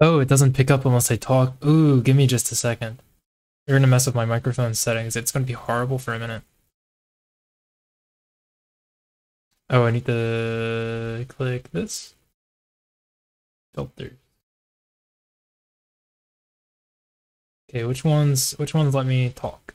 Oh, it doesn't pick up unless I talk. Ooh, give me just a second. You're gonna mess with my microphone settings. It's gonna be horrible for a minute. Oh, I need to click this. Filter. Okay, which ones which ones let me talk?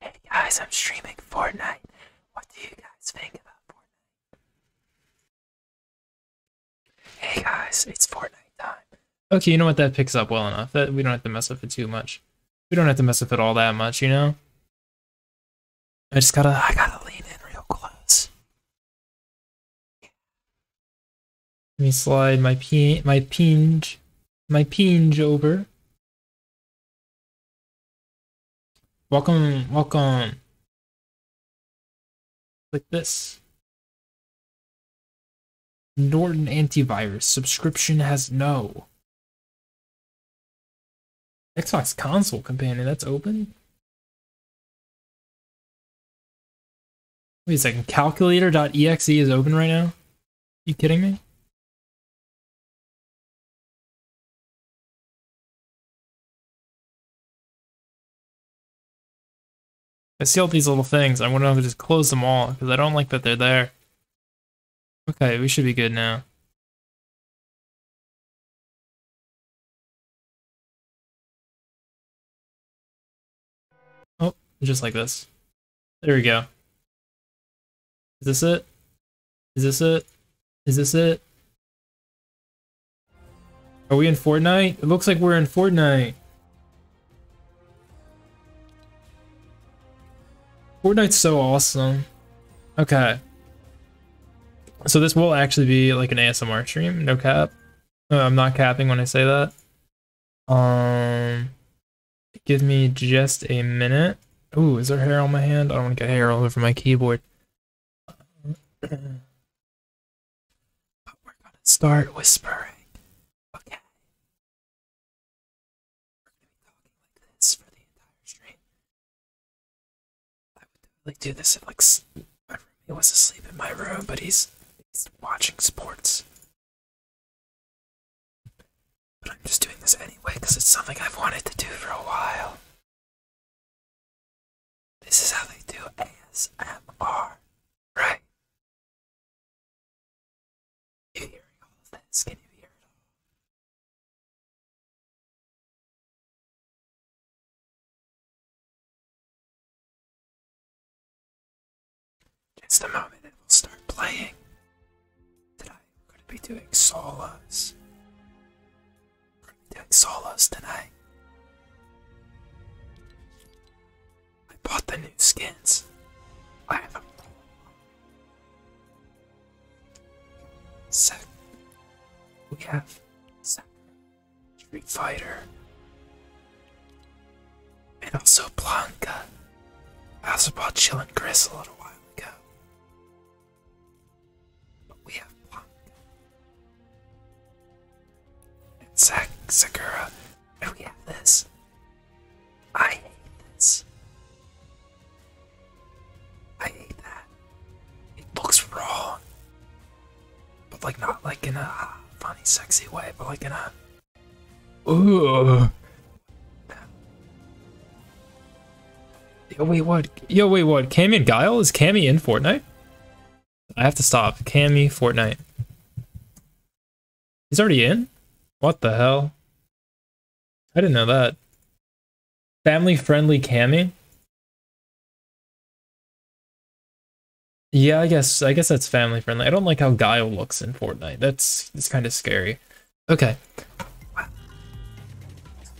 Hey guys, I'm streaming Fortnite. What do you guys think about Fortnite? Hey guys, it's Fortnite time. Okay, you know what? That picks up well enough. That we don't have to mess with it too much. We don't have to mess with it all that much, you know. I just gotta, I gotta lean in real close. Let me slide my pin, my pinge my pinge over. Welcome, welcome. Like this. Norton antivirus subscription has no. Xbox console companion, that's open. Wait a second, calculator.exe is open right now? You kidding me? I see all these little things. I wonder if I just close them all because I don't like that they're there. Okay, we should be good now. Oh, just like this. There we go. Is this it? Is this it? Is this it? Are we in Fortnite? It looks like we're in Fortnite. Fortnite's so awesome. Okay. So this will actually be like an ASMR stream, no cap. Uh, I'm not capping when I say that. Um, Give me just a minute. Ooh, is there hair on my hand? I don't want to get hair all over my keyboard. we're gonna start whispering. Okay. We're gonna be talking like this for the entire stream. I would like do this if like my roommate was asleep in my room, but he's watching sports. But I'm just doing this anyway because it's something I've wanted to do for a while. This is how they do ASMR, right? You hearing all of this? Can you hear it all? Just a moment and we'll start playing. Did I Gonna be doing solos. Gonna be doing solos tonight. I bought the new skins. I have them. We have Sec. Street Fighter. And also Blanca. I also bought Chill and Chris a little while ago. But we have Punk. And Zach Sakura. And we have this. I hate this. I hate that. It looks wrong. But like not like in a funny sexy way, but like in a Yo, wait, what? Yo, wait, what? Cammy and Guile? Is Cammy in Fortnite? I have to stop. Cammy, Fortnite. He's already in? What the hell? I didn't know that. Family friendly Cammy? Yeah, I guess I guess that's family friendly. I don't like how Guile looks in Fortnite. That's it's kind of scary. Okay. Wow.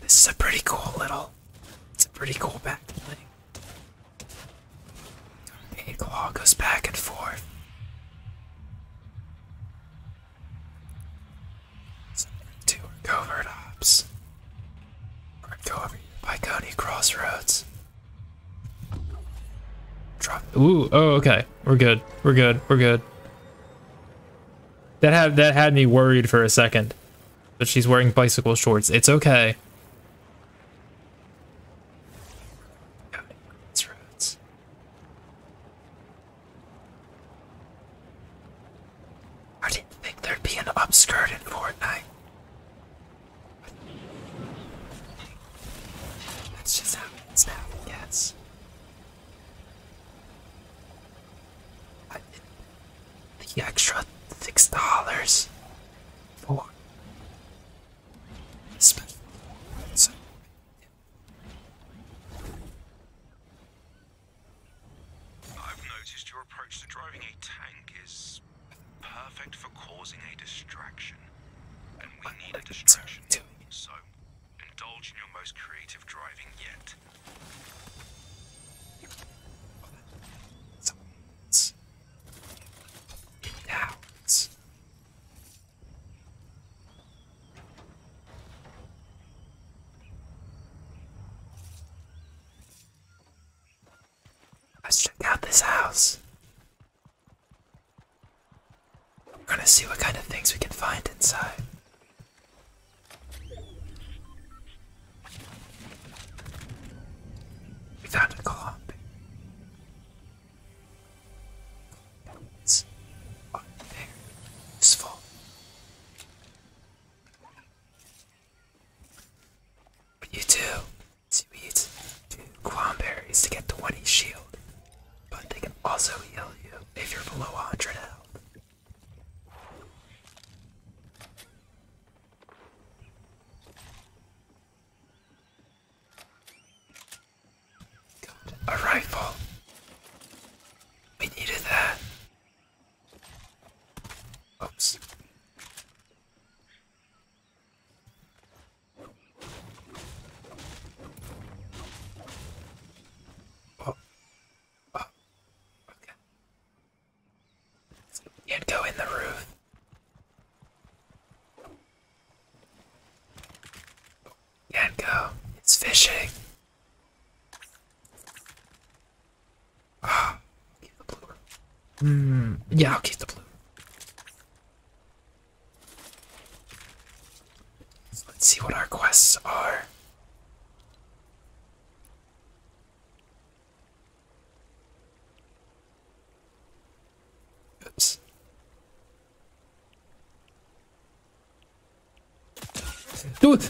This is a pretty cool little. It's a pretty cool back thing. Tornado claw goes back and forth. two covert ops. by Coney Crossroads. Ooh. Oh. Okay. We're good. We're good. We're good. That had that had me worried for a second. But she's wearing bicycle shorts. It's okay. I didn't think there'd be an upskirt in Fortnite. That's just how it is now, the extra six dollars for special. I've noticed your approach to driving a tank is perfect for causing a distraction, and we need a distraction. So Indulge in your most creative driving yet. Let's check out this house. We're gonna see what kind of things we can find inside. We found a clump. It's oh, there. Useful. What you do? So you eat two quamberries to get 20 shield, but they can also heal you if you're below 100 health. God, a rifle. We needed that. Oops. Oh, can't oh, go in the roof. Can't go. It's fishing. Ah, keep the blue. Hmm. Yeah, I'll keep the blue. let's see what our quests are. Dude!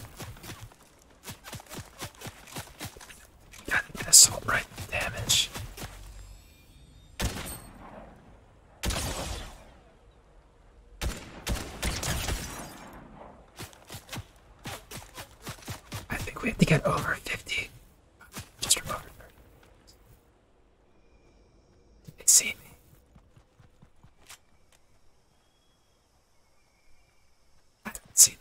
Got an assault right damage. I think we have to get over 50. Just over 30. Did they see me? I didn't see them.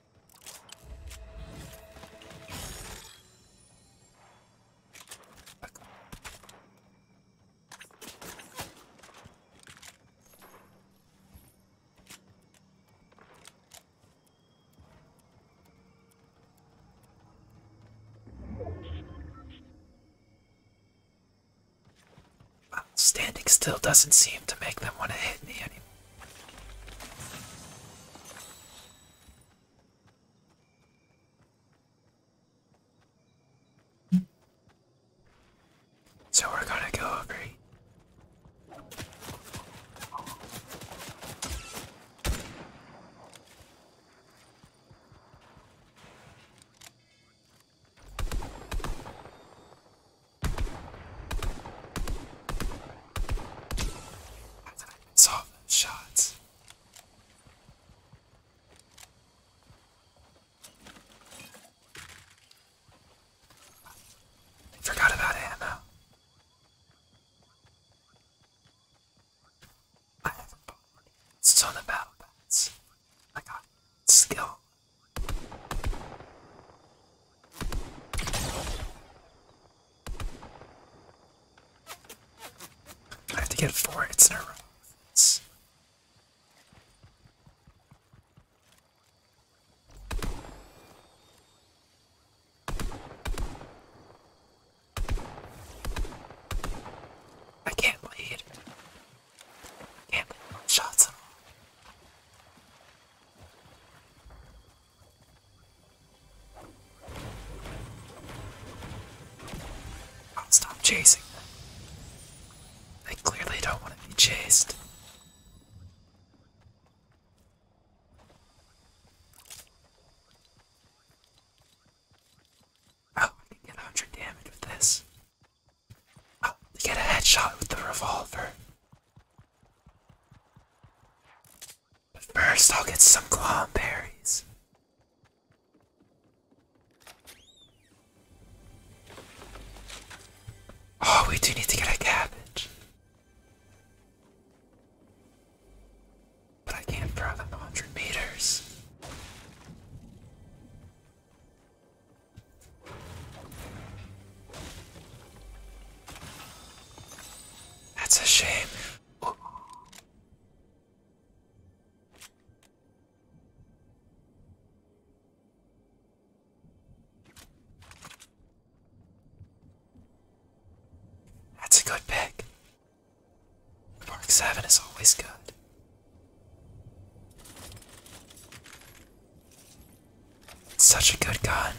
Standing still doesn't seem to make them want to hit me anymore. So we're gonna go over. Solve shots. forgot about Anna. I have a son of battle bats. I got skill. I have to get four hits in a row. I can't lead. can't lead shots at i stop chasing They clearly don't want to be chased. Oh, I can get 100 damage with this. Oh, get a headshot with the revolver. But first, I'll get some clownberries. Oh, we do need to get a cabbage. But I can't throw them 100 meters. That's a shame. That's a good pick. Mark 7 is always good. such a good gun.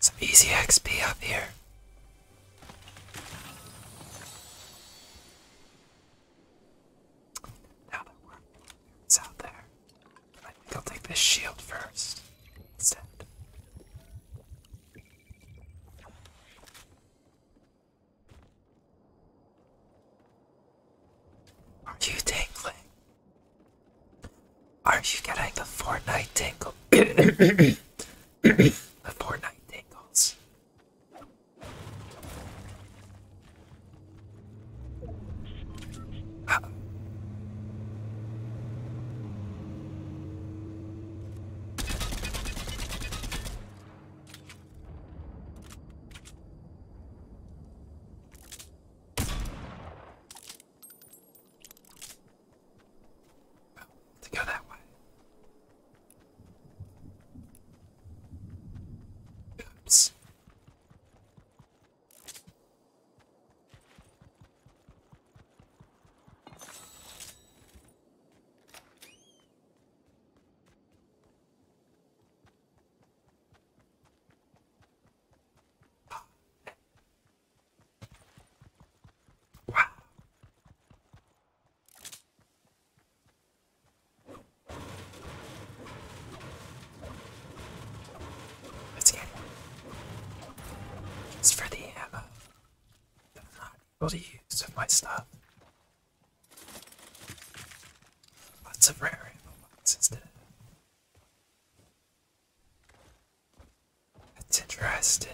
Some easy XP up here. Now that we're out there, I think I'll take this shield first instead. Are you tingling? Are you getting the Fortnite tingle? the Fortnite tingles. Oh, to go that way. Oops. Let's get it. Just for the ammo. But not what are got used of my stuff. Lots of rare lots instead. That's interesting.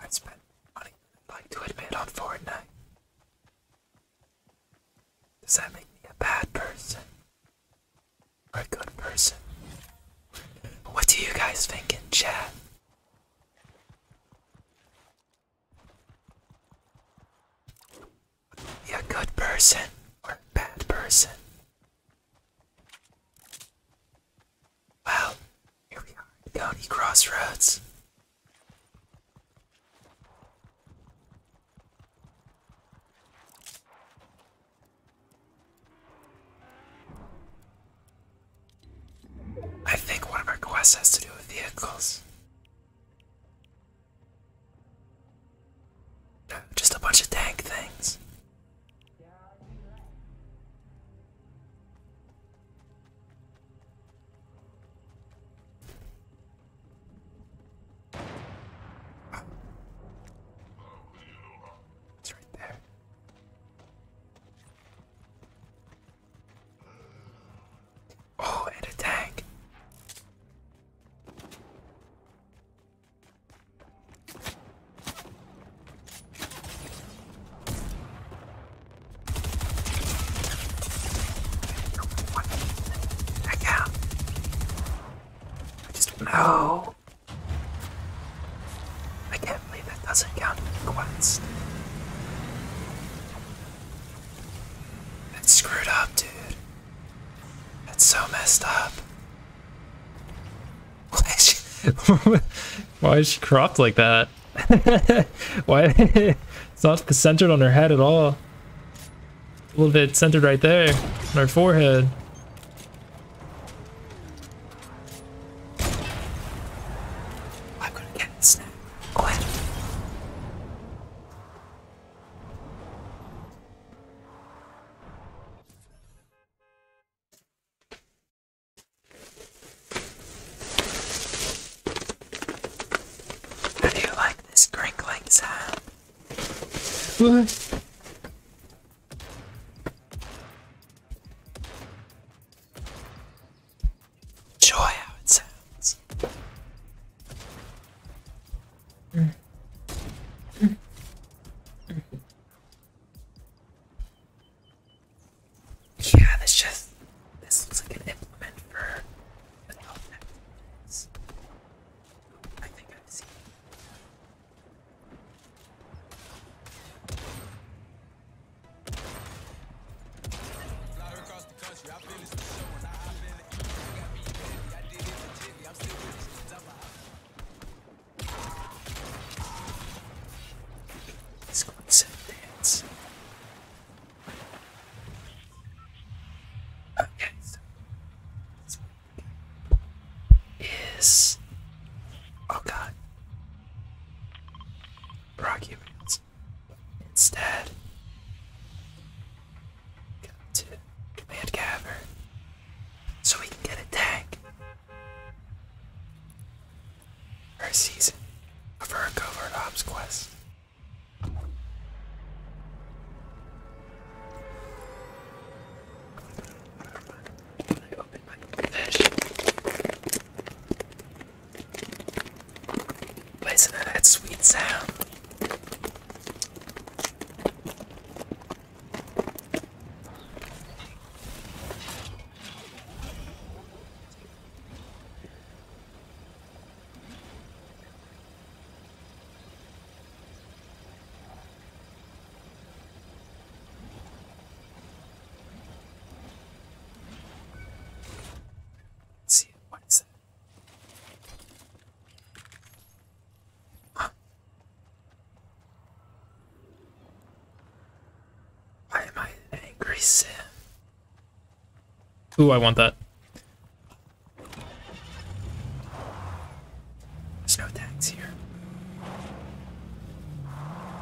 I spent money, I'd like to admit, on Fortnite. Does that make me a bad person? Or a good person? What do you guys think in chat? Be a good person or a bad person? Well, here we are, County Crossroads. I think one of our quests has to do with vehicles. Just a bunch of tank things. It's right there. Oh, and a tank. What? Heck out. I just know. I can't believe that doesn't count as a quest. That's screwed up, dude. That's so messed up. Why is she cropped like that? Why? it's not centered on her head at all. A little bit centered right there on her forehead. I'm gonna get this now. Quick. How do like this crinkling sound? Enjoy how it sounds. Yeah, this just this looks like an implement for adult activities. I think I've seen Fly across the country, I feel the show when I hop in the E. I got me baby, I did it for Jimmy, I'm still with this I'm out. Let's go inside dance. Okay, so let's is oh god Rocky Instead, go to Command Cavern so we can get a tank. First season of a covert ops quest. I'm gonna open my fish. But isn't that that sweet sound? see, what is it? Huh. Why am I an angry sim? Ooh, I want that. There's no tags here.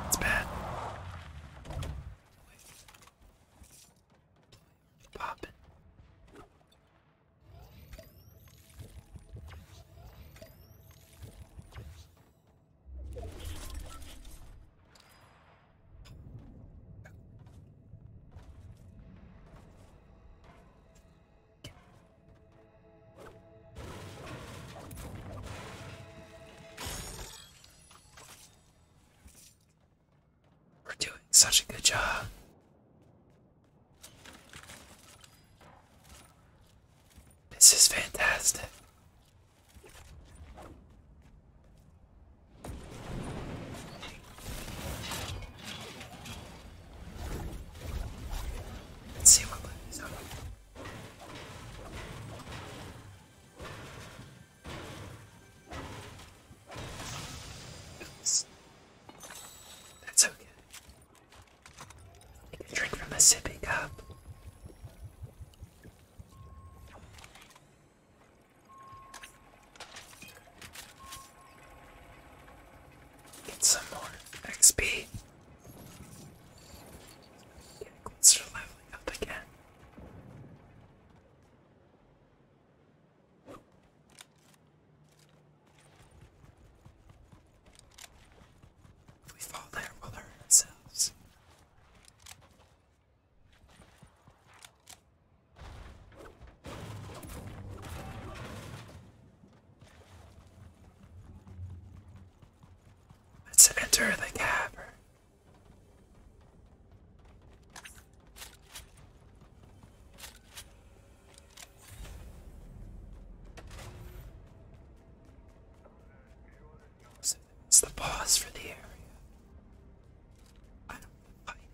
It's bad. Pop. We're doing such a good job. This is fantastic. Let's see what is up. Oops. That's okay. You can drink from a sippy cup. Get some more XP. Get closer leveling up again. If we fall there, we'll hurt ourselves. Let's enter the cavern. it's the boss for the area. I don't fight it.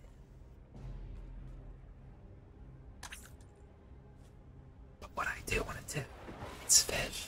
But what I do want to do, it's fish.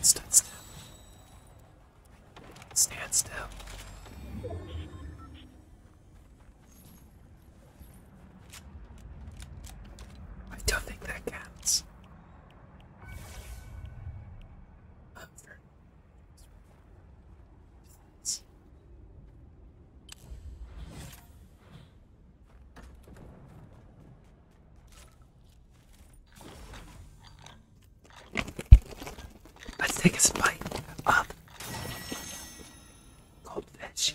Stand still. Stand still. I don't think that counts. Let's take a bite of goldfish.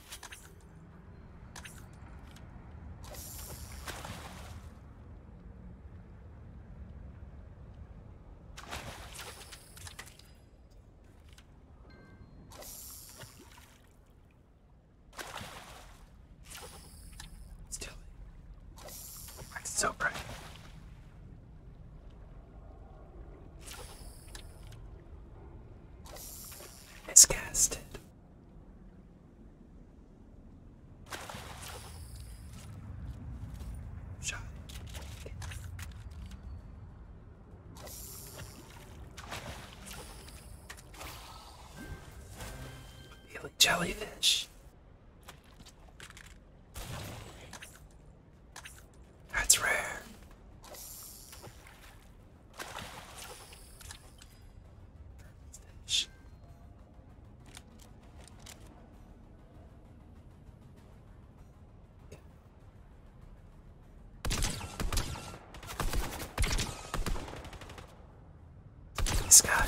Still, it's so bright. Miscast it. Shot. jellyfish. That's rare. This guy.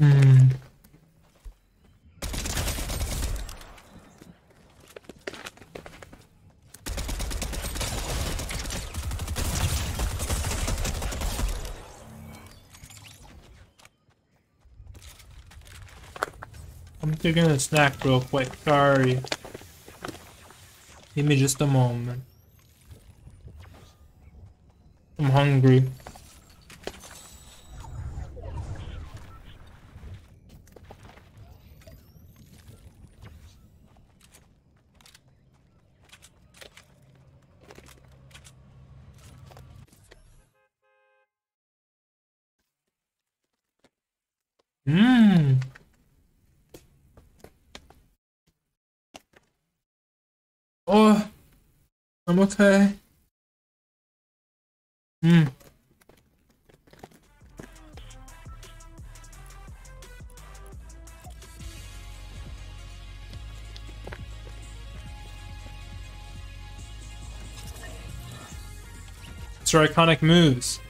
Mm. I'm taking a snack real quick, sorry. Give me just a moment. I'm hungry. Mmm. Oh, I'm okay. Hmm. It's her iconic moves.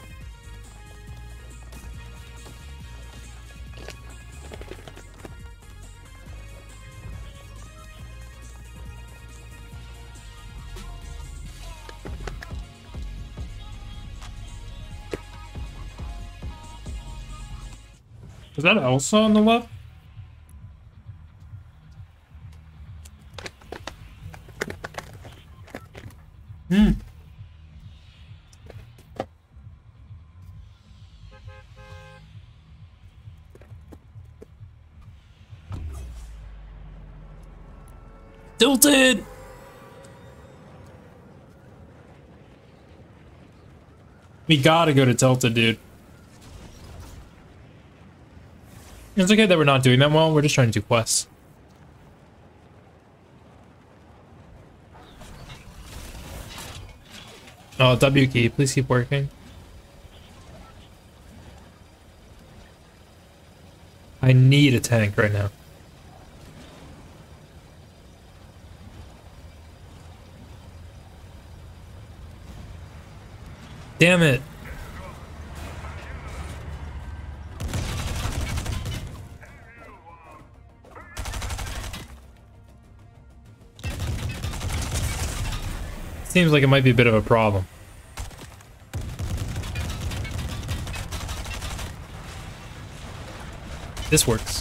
Is that Elsa on the left? Hmm. Tilted! We gotta go to Tilted, dude. It's okay that we're not doing that well, we're just trying to do quests. Oh, W key, please keep working. I need a tank right now. Damn it. Seems like it might be a bit of a problem. This works.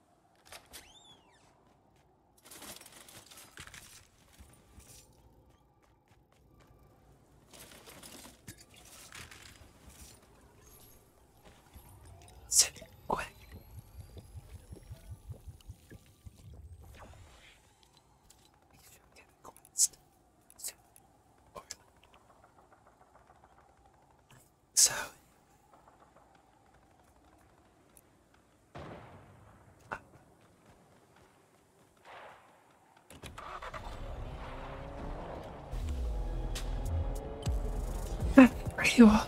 Sit quick. You should get cleansed soon or later. I so, where uh, there you are.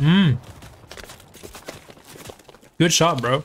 Mmm. Good shot, bro.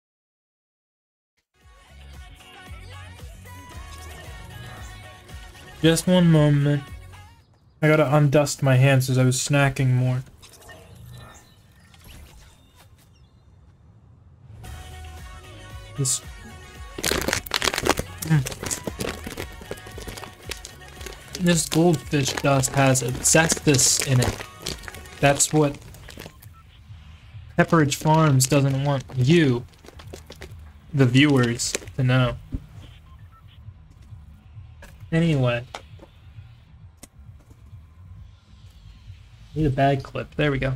Just one moment. I gotta undust my hands as I was snacking more. This. Hmm. This goldfish dust has asbestos in it. That's what Pepperidge Farms doesn't want you the viewers, to know. Anyway. Need a bag clip. There we go.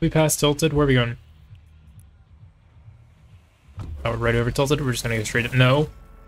We passed Tilted. Where are we going? Oh, right over Tilted. We're just gonna go straight. up. No.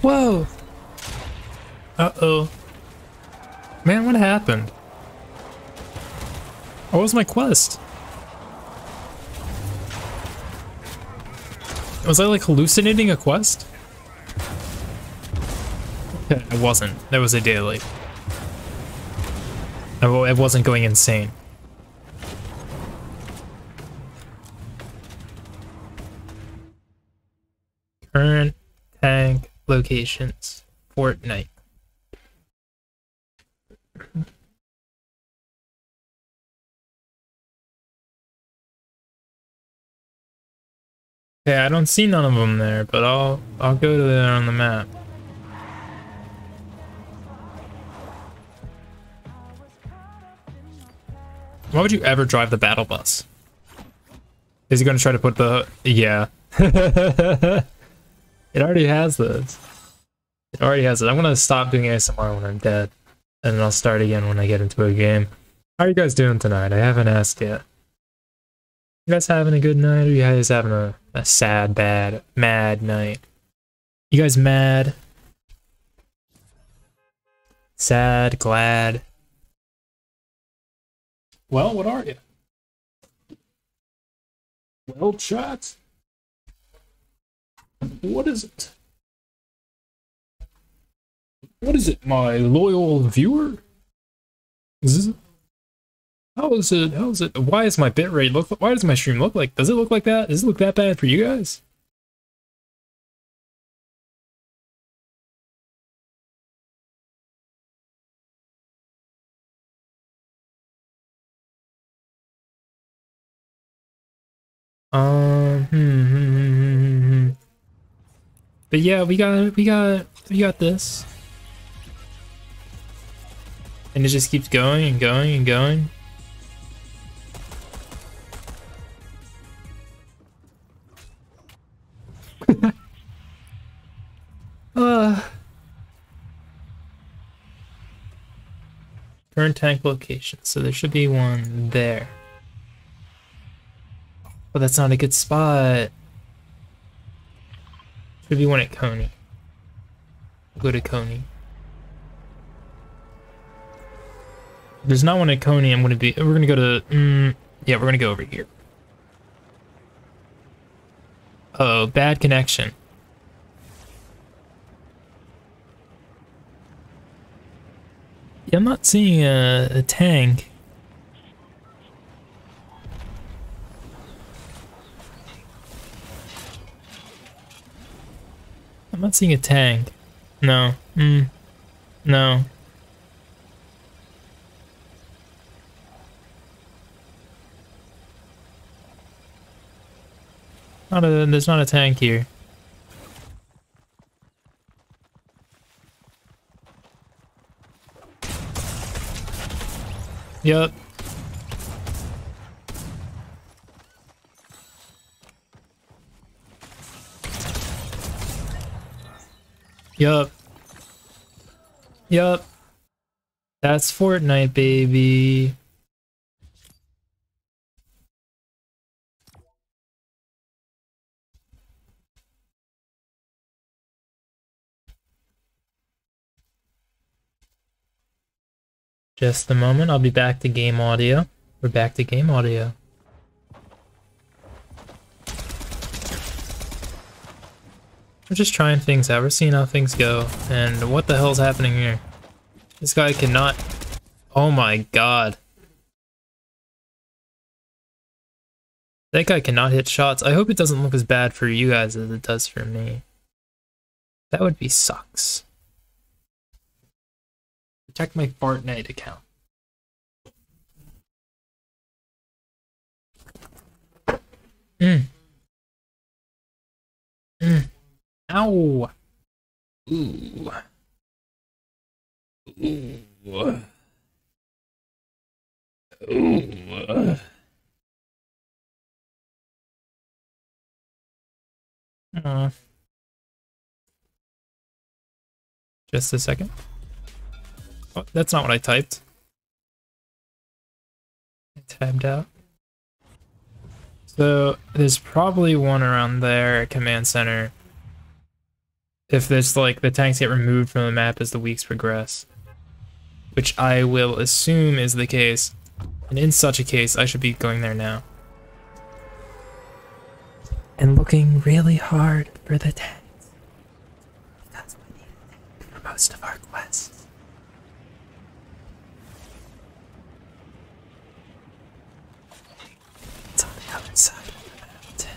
Whoa! Uh-oh. Man, what happened? What was my quest? Was I like hallucinating a quest? I wasn't. That was a daily it wasn't going insane. Current tank locations, Fortnite. Yeah, I don't see none of them there, but I'll I'll go to there on the map. Why would you ever drive the battle bus? Is he going to try to put the... Yeah. it already has this. It already has it. I'm going to stop doing ASMR when I'm dead. And then I'll start again when I get into a game. How are you guys doing tonight? I haven't asked yet. You guys having a good night or you guys having a, a sad, bad, mad night? You guys mad? Sad, glad? Well, what are you? Well, chat, what is it? What is it, my loyal viewer? Is this, how is it? How is it? Why is my bitrate look? Why does my stream look like? Does it look like that? Does it look that bad for you guys? Um, hmm, hmm, hmm, But yeah, we got, we got, we got this. And it just keeps going and going and going. Uh. Current tank location. So there should be one there. But that's not a good spot. Should be one at Coney to Coney. There's not one at Coney. I'm gonna be. We're gonna go to. Mm, yeah, we're gonna go over here. oh, bad connection. Yeah, I'm not seeing a tank. I'm not seeing a tank. No. Mm. No. Not a, there's not a tank here. Yep. Yup. Yup. That's Fortnite, baby. Just a moment, I'll be back to game audio. We're back to game audio. We're just trying things out, we're seeing how things go, and what the hell's happening here? This guy cannot... Oh my god. That guy cannot hit shots. I hope it doesn't look as bad for you guys as it does for me. That would be sucks. Protect my Fortnite account. Mm. Mm. Ow. Ooh. Ooh. Ooh. Uh, just a second. Oh, that's not what I typed. I tabbed out. So there's probably one around there at command center. If there's like the tanks get removed from the map as the weeks progress, which I will assume is the case. And in such a case, I should be going there now. And looking really hard for the tags. Because we need for most of our quests. It's on the other side of the mountain.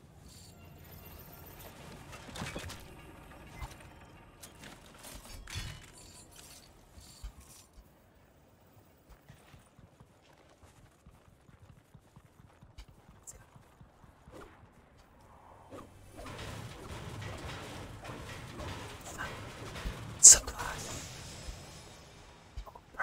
Supply. Oh,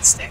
Stay.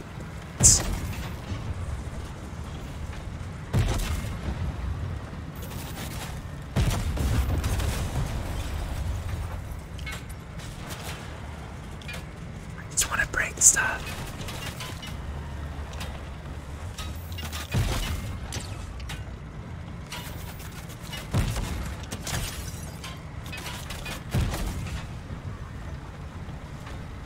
just want to break stuff.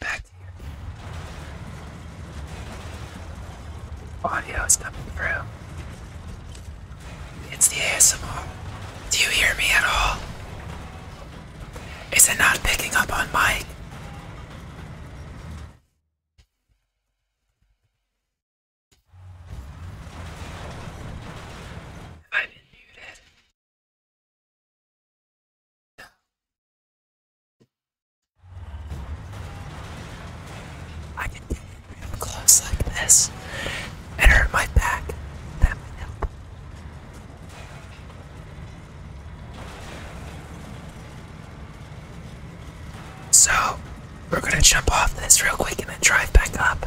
Back here. Audio is coming through. It's the ASMR. Do you hear me at all? Is it not picking up on mic? I didn't do that. I can get it up close like this and hurt my back. That might help. So, we're gonna jump off this real quick and then drive back up.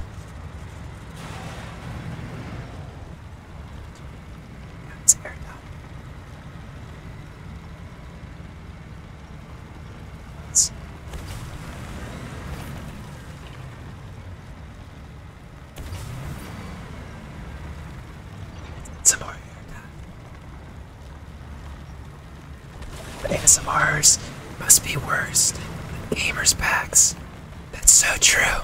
That's fair enough. Let's Get some time. But ASMRs must be worst. than gamers' packs. That's so true.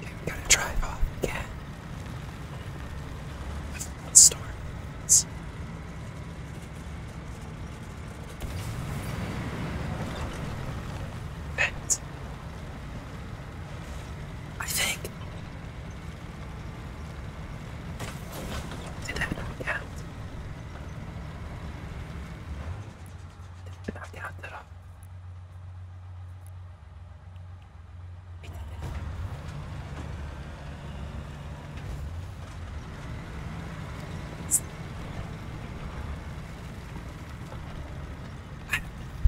we gotta drive off again. I think did I knock out? Did I knock that off?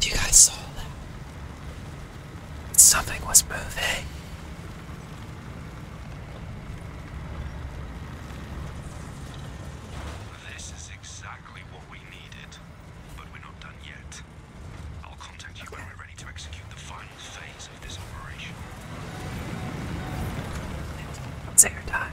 Do you guys saw Something was moving. This is exactly what we needed, but we're not done yet. I'll contact you when we're ready to execute the final phase of this operation. It's time.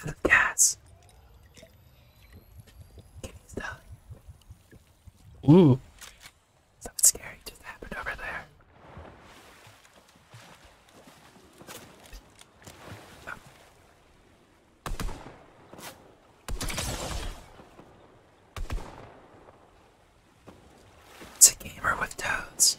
Out of gas. Ooh. Something scary just happened over there. It's a gamer with toads.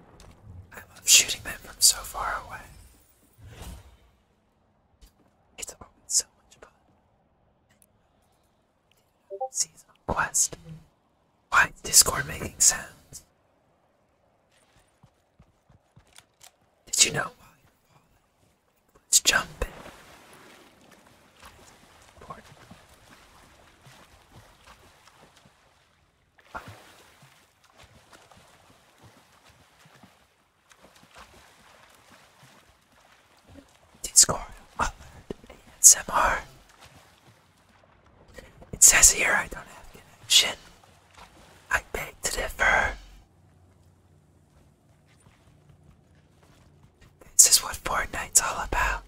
I love shooting them from so far away. It's always so much fun. Season quest. Why Discord making sounds? Did you know let's jump in. Discord alert ASMR. It says here I don't have connection. I beg to differ. This is what Fortnite's all about.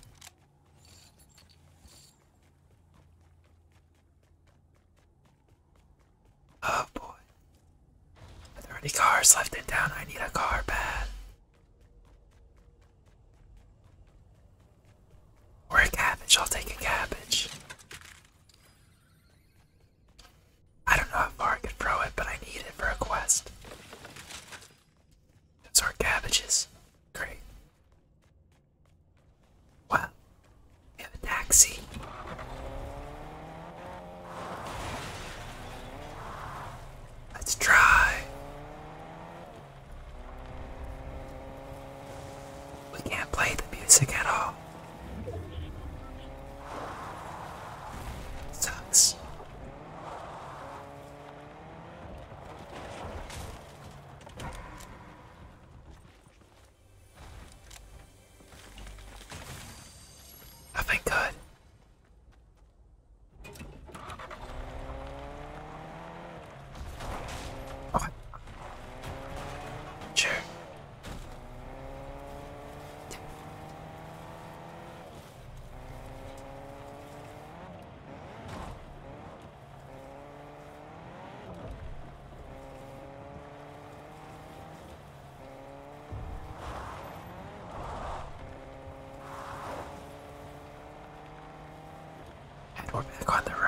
Oh boy. Are there any cars left in town? I need a car bad. Or a cabbage, I'll take a cabbage. I don't know how far I can throw it, but I need it for a quest. Those are cabbages. Great. Wow, we have a taxi. Let's try. We can't play the music at all. Sucks. I've God! good. Okay. And we're back on the road.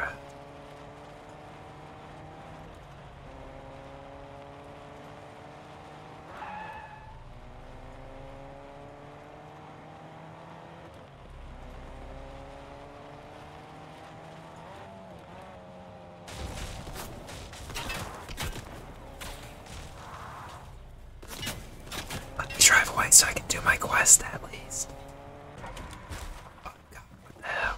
Let me drive away so I can do my quest at least. Oh god, what the hell?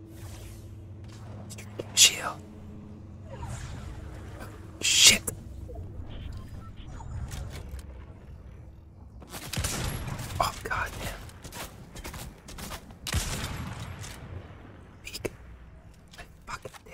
Shield. shit. Oh god damn. Peek. I fucking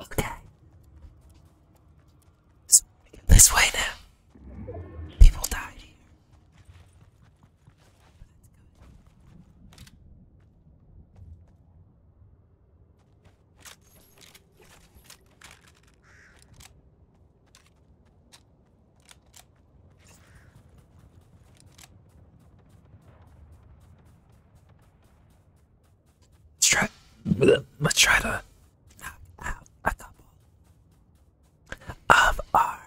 Okay. This, this way now. People died here. Let's try. Let's try to knock a couple of our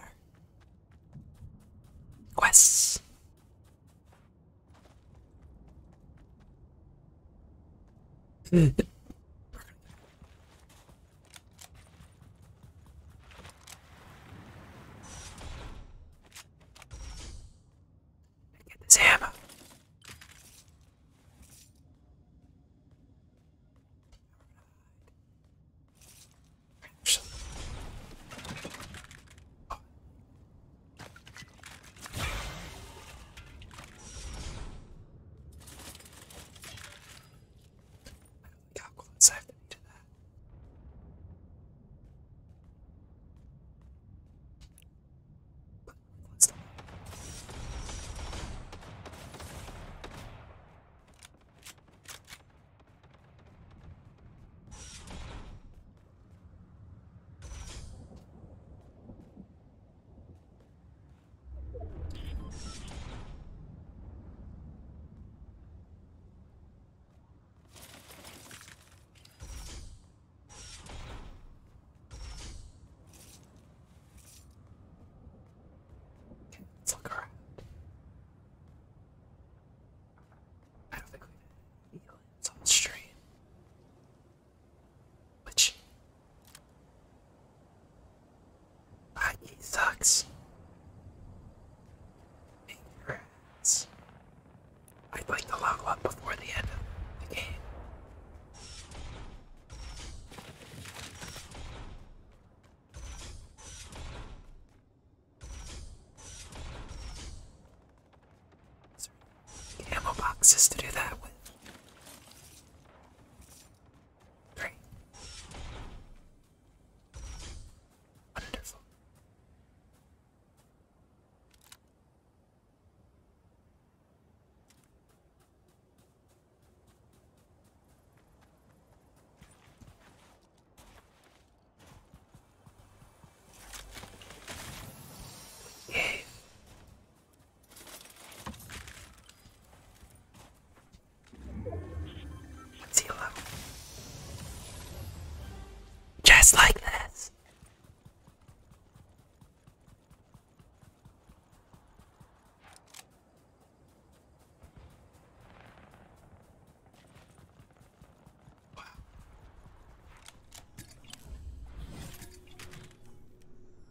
quests. Get this hammer. How close I have to be to that. But let's not. Let's look around. I don't think we've had any aliens on the stream. Which I sucks. Congrats. I'd like to level up before the end of the game. Sorry. Ammo boxes to do that with. Great. Wonderful. Yay. It's yellow. Just like this.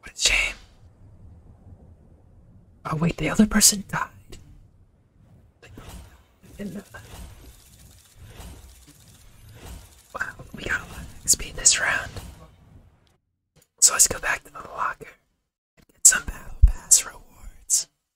What a shame. Oh wait, the other person died. Wow, we got a lot this round. So let's go back to the locker and get some battle pass rewards.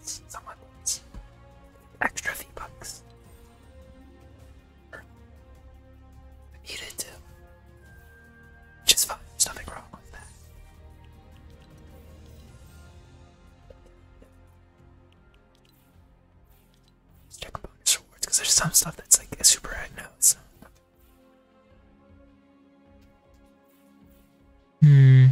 spend some of extra V bucks. I needed to. Which fine, there's nothing wrong with that. check bonus rewards, because there's some stuff that's like a super ad now, Hmm.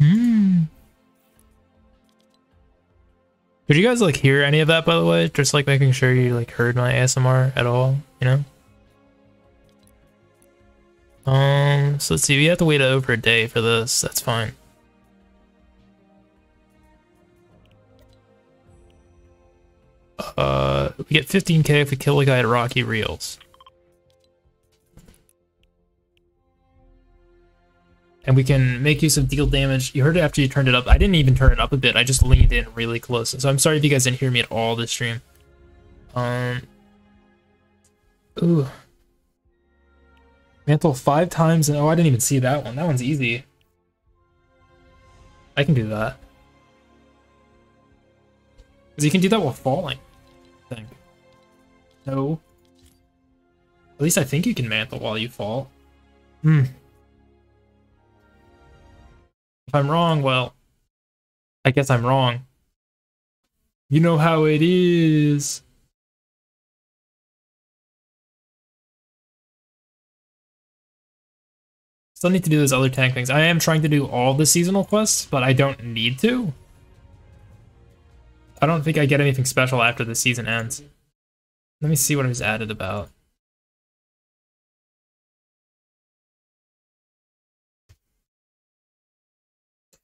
Hmm. Did you guys like hear any of that by the way? Just like making sure you like heard my ASMR at all, you know? Um, so let's see, we have to wait over a day for this, that's fine. Uh, we get 15k if we kill a guy at Rocky Reels. And we can make use of deal damage. You heard it after you turned it up. I didn't even turn it up a bit. I just leaned in really close. So I'm sorry if you guys didn't hear me at all this stream. Um. Ooh. Mantle five times. And, oh, I didn't even see that one. That one's easy. I can do that. Because you can do that while falling, I think. No. At least I think you can mantle while you fall. Hmm. If I'm wrong, well, I guess I'm wrong. You know how it is. Still need to do those other tank things. I am trying to do all the seasonal quests, but I don't need to. I don't think I get anything special after the season ends. Let me see what it was added about.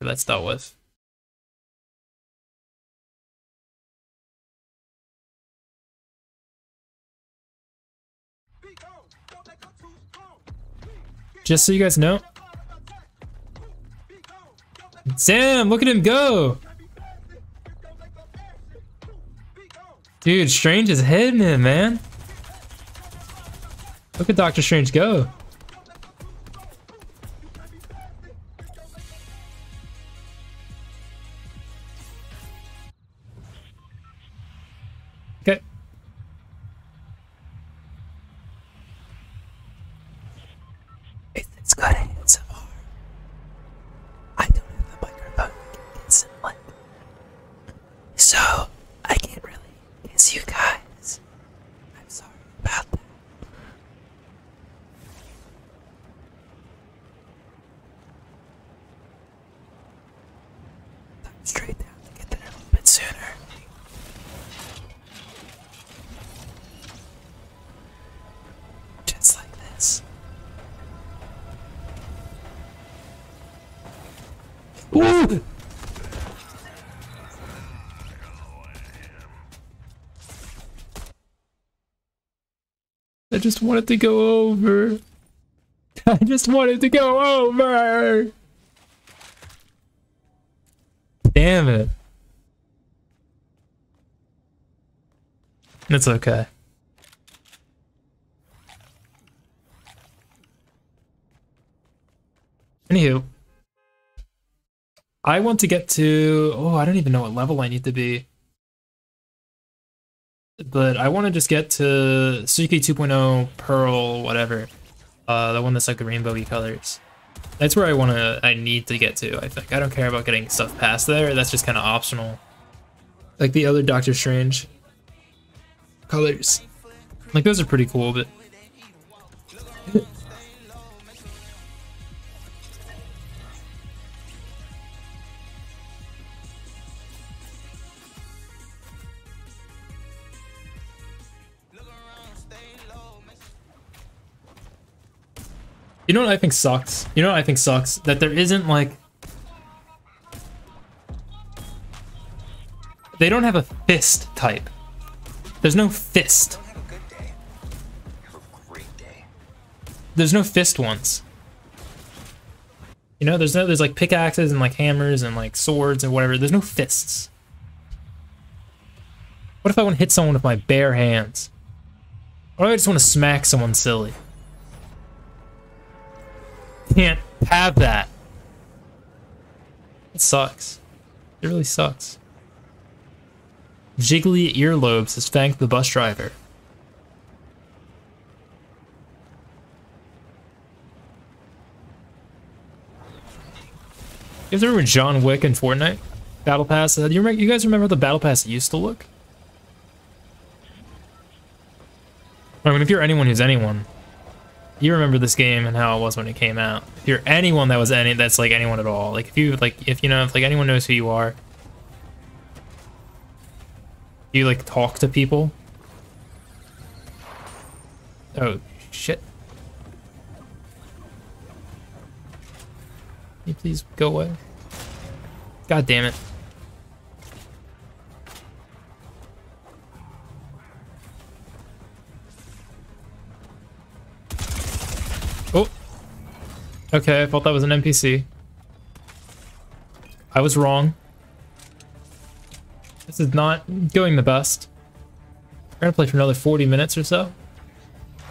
Let's start with. Just so you guys know. Damn, look at him go! Dude, Strange is hitting him, man. Look at Doctor Strange go. Okay. It's good ASMR. I don't have the microphone So I can't really miss you guys. I'm sorry about that. Time straight down to get there a little bit sooner. Just like this. Ooh! I just wanted to go over. I just wanted to go over. Damn it. It's okay. Anywho. I want to get to... Oh, I don't even know what level I need to be. But I want to just get to Suki 2.0 Pearl, whatever. Uh, the one that's like the rainbowy colors. That's where I want to, I need to get to, I think. I don't care about getting stuff past there. That's just kind of optional. Like the other Doctor Strange colors. Like those are pretty cool, but you know what I think sucks? You know what I think sucks? That there isn't like... They don't have a fist type. There's no fist. There's no fist ones. You know, there's no there's like pickaxes and like hammers and like swords and whatever. There's no fists. What if I want to hit someone with my bare hands? Or I just want to smack someone silly? Can't have that. It sucks. It really sucks. Jiggly earlobes has thanked the bus driver. If there were John Wick and Fortnite? Battle Pass? Uh, do you, remember, you guys remember how the Battle Pass used to look? I mean, if you're anyone who's anyone, you remember this game and how it was when it came out. If you're anyone that was any, that's like anyone at all. Like if you like, if you know, if like anyone knows who you are, do you like talk to people? Oh, shit. you please go away? God damn it. Oh. Okay, I thought that was an NPC. I was wrong. This is not going the best. We're gonna play for another 40 minutes or so.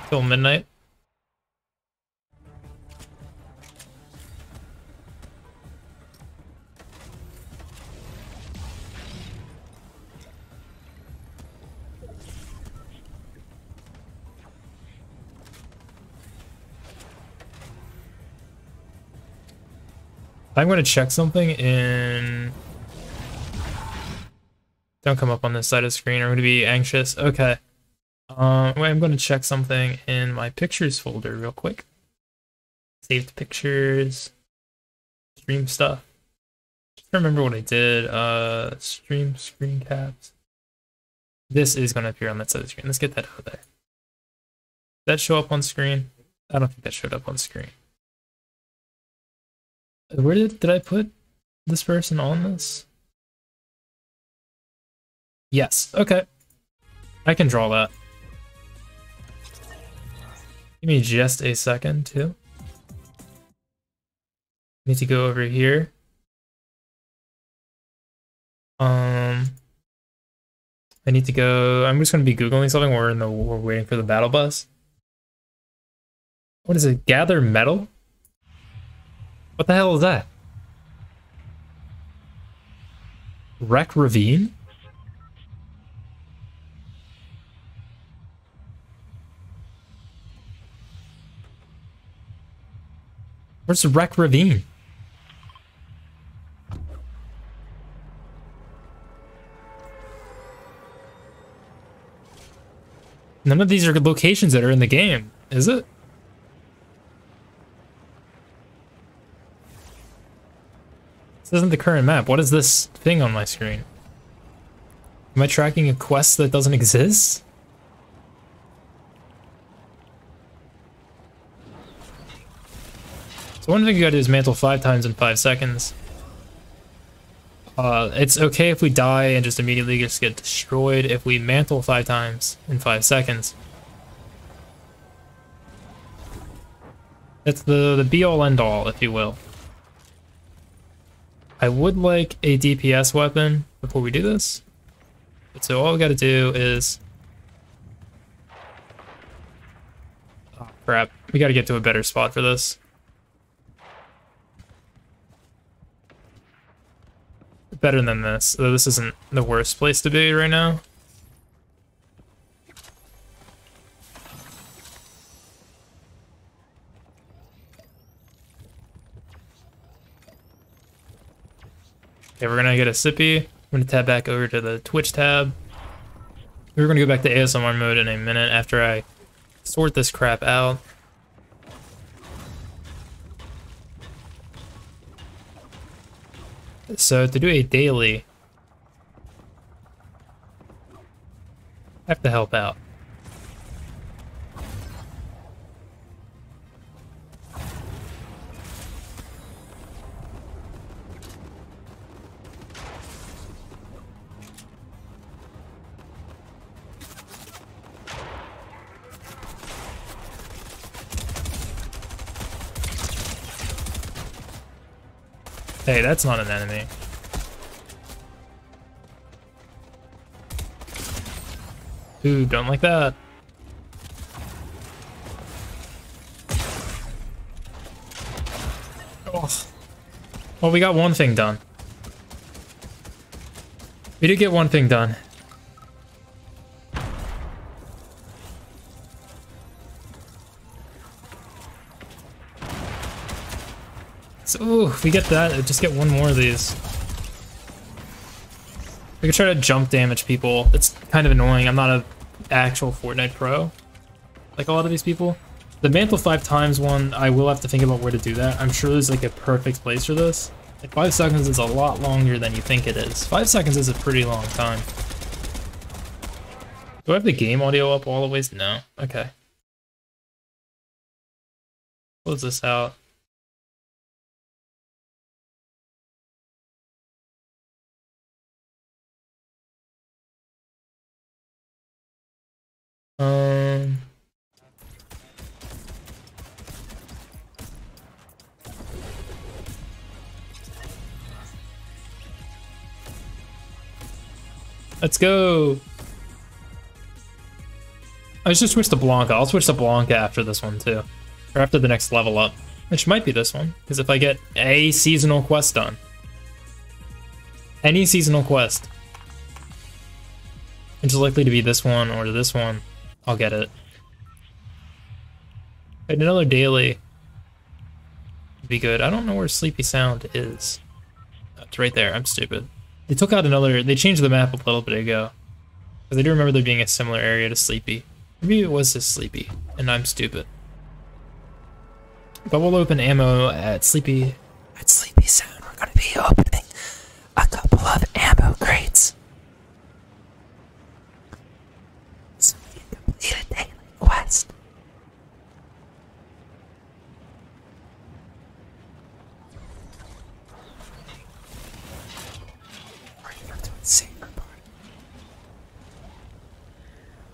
Till midnight. I'm going to check something in... Don't come up on this side of the screen. I'm going to be anxious. Okay. Um, wait, I'm going to check something in my pictures folder real quick. Saved pictures. Stream stuff. Just remember what I did. Uh, stream screen caps. This is going to appear on that side of the screen. Let's get that out of there. Did that show up on screen? I don't think that showed up on screen. Where did, did I put this person on this? Yes, okay. I can draw that. Give me just a second, too. Need to go over here. Um, I need to go. I'm just gonna be googling something. We're in the we're waiting for the battle bus. What is it? Gather metal. What the hell is that? Wreck ravine. Where's Wreck Ravine? None of these are locations that are in the game, is it? This isn't the current map. What is this thing on my screen? Am I tracking a quest that doesn't exist? So one thing you gotta do is mantle five times in five seconds. Uh, it's okay if we die and just immediately just get destroyed if we mantle five times in five seconds. It's the, the be all end all, if you will. I would like a DPS weapon before we do this. So all we gotta do is crap. We gotta get to a better spot for this. Better than this, though this isn't the worst place to be right now. Okay, we're gonna get a sippy. We're gonna tab back over to the Twitch tab. We're gonna go back to ASMR mode in a minute after I sort this crap out. So to do a daily, I have to help out. Hey, that's not an enemy. Ooh, don't like that. Oh. Well, we got one thing done. We did get one thing done. So, if we get that, uh, just get one more of these. We can try to jump damage people. It's kind of annoying. I'm not a actual Fortnite pro, like a lot of these people. The mantle five times one, I will have to think about where to do that. I'm sure there's like a perfect place for this. Like five seconds is a lot longer than you think it is. Five seconds is a pretty long time. Do I have the game audio up all the ways? No. Okay. Close this out. Um, let's go. I should switch to Blanca. I'll switch to Blanca after this one too. Or after the next level up. Which might be this one. Because if I get a seasonal quest done. Any seasonal quest. which is likely to be this one or this one. I'll get it. And another daily would be good. I don't know where Sleepy Sound is. It's right there. I'm stupid. They took out another... They changed the map a little bit ago. Because I do remember there being a similar area to Sleepy. Maybe it was just Sleepy, and I'm stupid. But we'll open ammo at Sleepy. At Sleepy soon, we're gonna be opening a couple of ammo crates. So we a daily quest.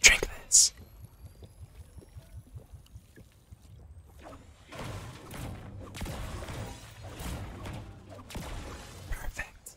Drink this. Perfect.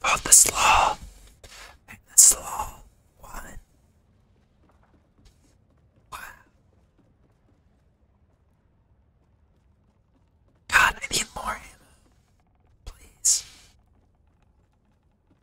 About this law, this law one. Wow. God, I need more ammo. Please.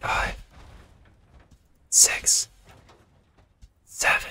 Five, six, seven.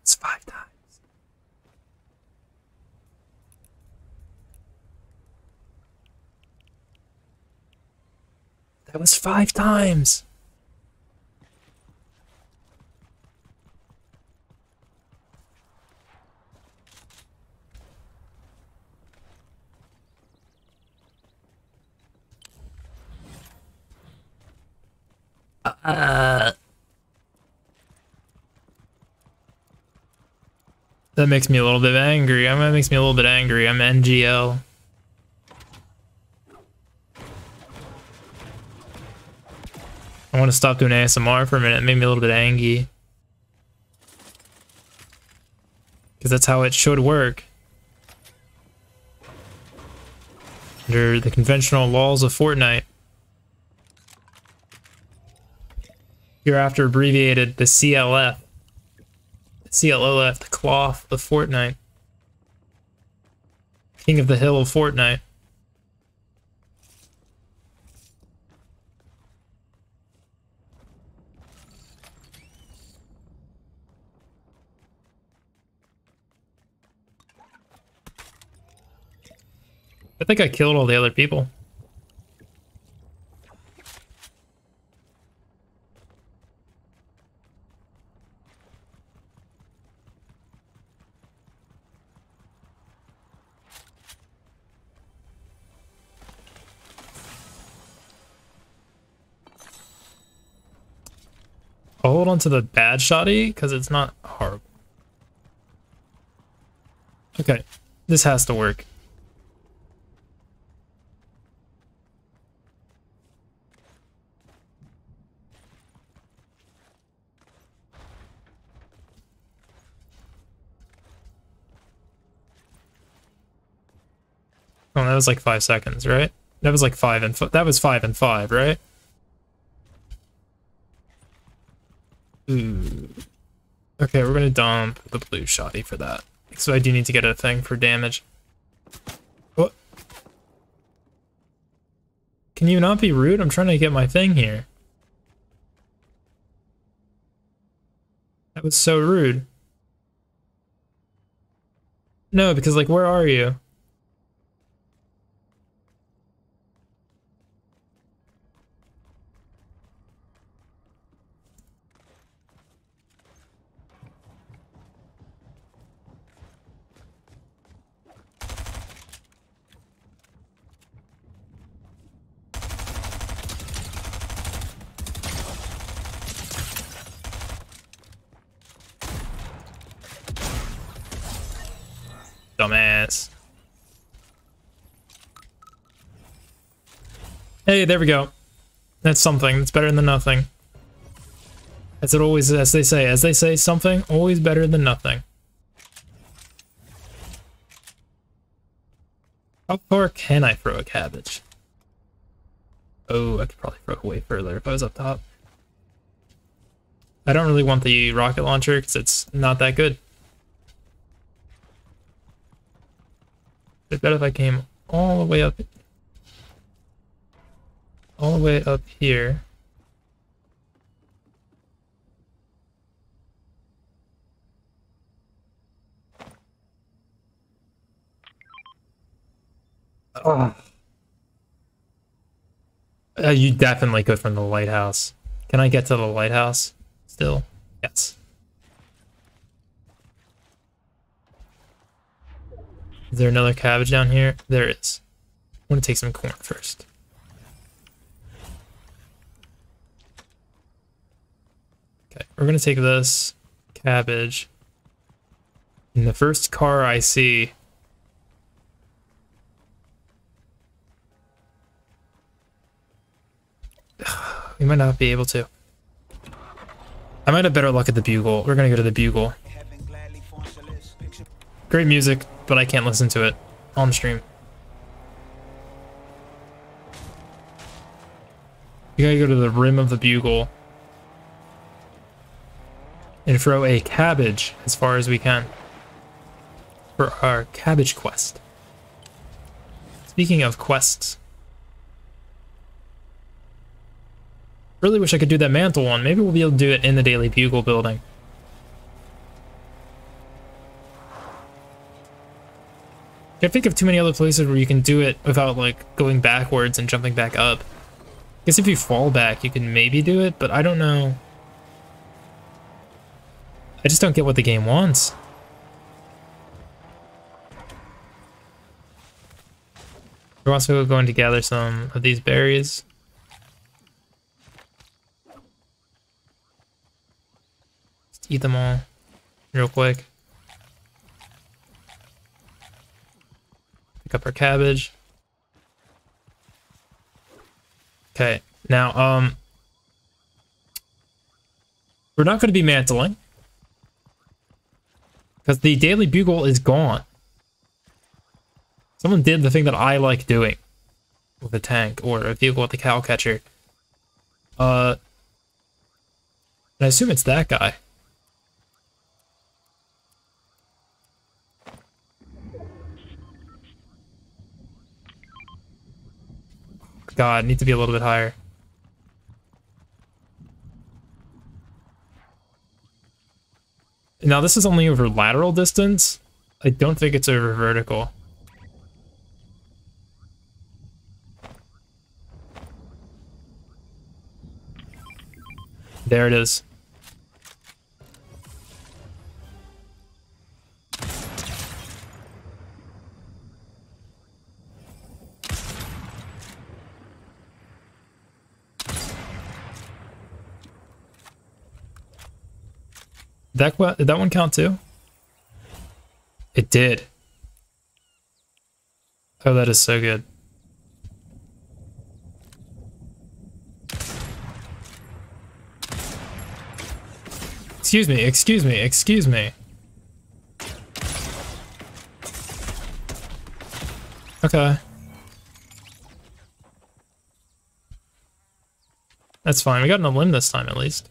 That's five times. That was five times. Uh, that makes me a little bit angry. that makes me a little bit angry. I'm NGL. I want to stop doing ASMR for a minute. It made me a little bit angry. Because that's how it should work. Under the conventional laws of Fortnite. Hereafter abbreviated the CLF. The CLLF, the cloth of Fortnite. King of the hill of Fortnite. I think I killed all the other people. I'll hold on to the bad shoddy because it's not hard. Okay, this has to work. Oh, that was like five seconds, right? That was like five and that was five and five, right? Hmm. Okay, we're gonna dump the blue shotty for that. So I do need to get a thing for damage. What? Oh. Can you not be rude? I'm trying to get my thing here. That was so rude. No, because like, where are you? Dumbass. Hey, there we go. That's something. That's better than nothing. As it always, as they say, as they say, something always better than nothing. How far can I throw a cabbage? Oh, I could probably throw it way further if I was up top. I don't really want the rocket launcher because it's not that good. I better if I came all the way up, all the way up here, Oh. you definitely go from the lighthouse. Can I get to the lighthouse still? Yes. Is there another cabbage down here? There want gonna take some corn first. Okay, we're gonna take this cabbage. in the first car I see we might not be able to. I might have better luck at the bugle. We're gonna go to the bugle. Great music, but I can't listen to it on stream. You gotta go to the rim of the bugle and throw a cabbage as far as we can for our cabbage quest. Speaking of quests, really wish I could do that mantle one. Maybe we'll be able to do it in the Daily Bugle building. I think of too many other places where you can do it without, like, going backwards and jumping back up. I guess if you fall back, you can maybe do it, but I don't know. I just don't get what the game wants. We're also going to gather some of these berries eat them all real quick. Pick up our cabbage. Okay, now, um, we're not going to be mantling because the Daily Bugle is gone. Someone did the thing that I like doing with a tank or a vehicle with a cow catcher. Uh, I assume it's that guy. God, I need to be a little bit higher. Now this is only over lateral distance, I don't think it's over vertical. There it is. That that one count too? It did. Oh, that is so good. Excuse me, excuse me, excuse me. Okay. That's fine. We got an limb this time, at least.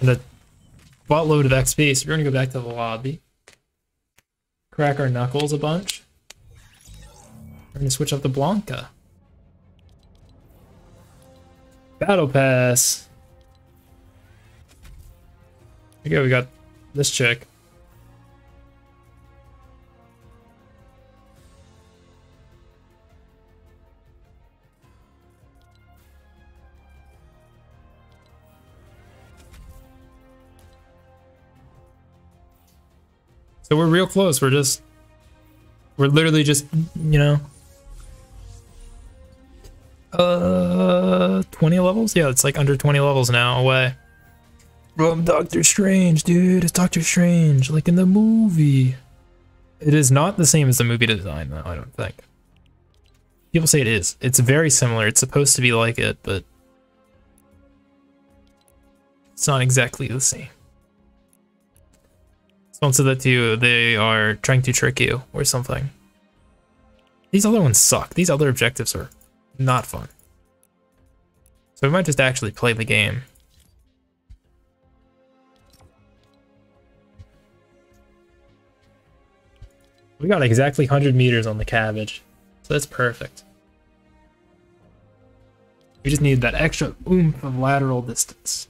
And a buttload of XP, so we're going to go back to the lobby. Crack our knuckles a bunch. We're going to switch up the Blanca. Battle Pass. Okay, we got this check. So we're real close. We're just, we're literally just, you know, uh, 20 levels? Yeah, it's like under 20 levels now away. Bro, I'm Doctor Strange, dude. It's Doctor Strange, like in the movie. It is not the same as the movie design, though, I don't think. People say it is. It's very similar. It's supposed to be like it, but it's not exactly the same. Someone said that to you, they are trying to trick you or something. These other ones suck. These other objectives are not fun. So we might just actually play the game. We got exactly 100 meters on the cabbage, so that's perfect. We just need that extra oomph of lateral distance.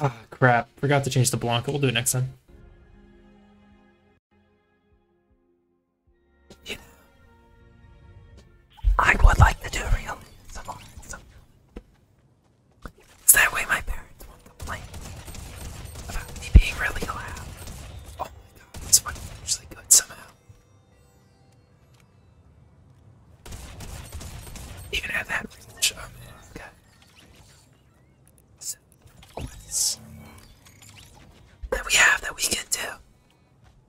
Ah, crap. Forgot to change the Blanca. We'll do it next time. I would like to do real some So that way my parents won't complain about me being really loud. Oh my god, this one's good somehow. Even at that range, that we have that we can do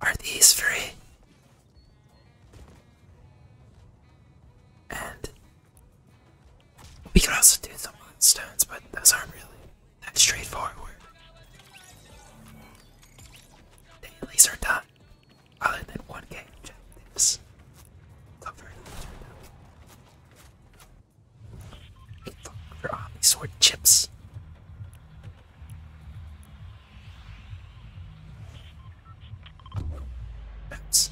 are these three. And we could also do some stones, but those aren't really that's straightforward. They at are done. Other than one game objectives. Cover Look for Omni Sword chips. That's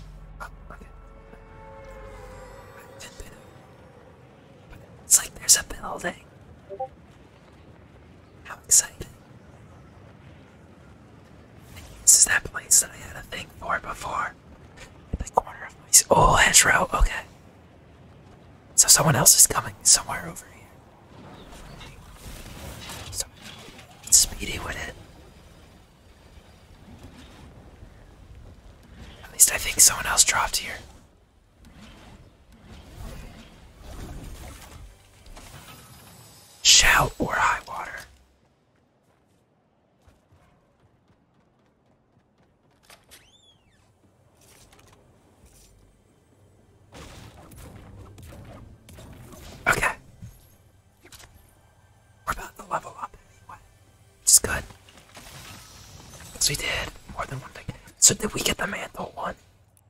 It's like there's a building. How excited! This is that place that I had a thing for before. At the corner of my oh hedge row. Okay. So someone else is coming somewhere over here. So speedy with it. At least I think someone else dropped here. Shout or high water. Okay. We're about to level up anyway. It's good. we did more than one thing. So did we get the mantle one?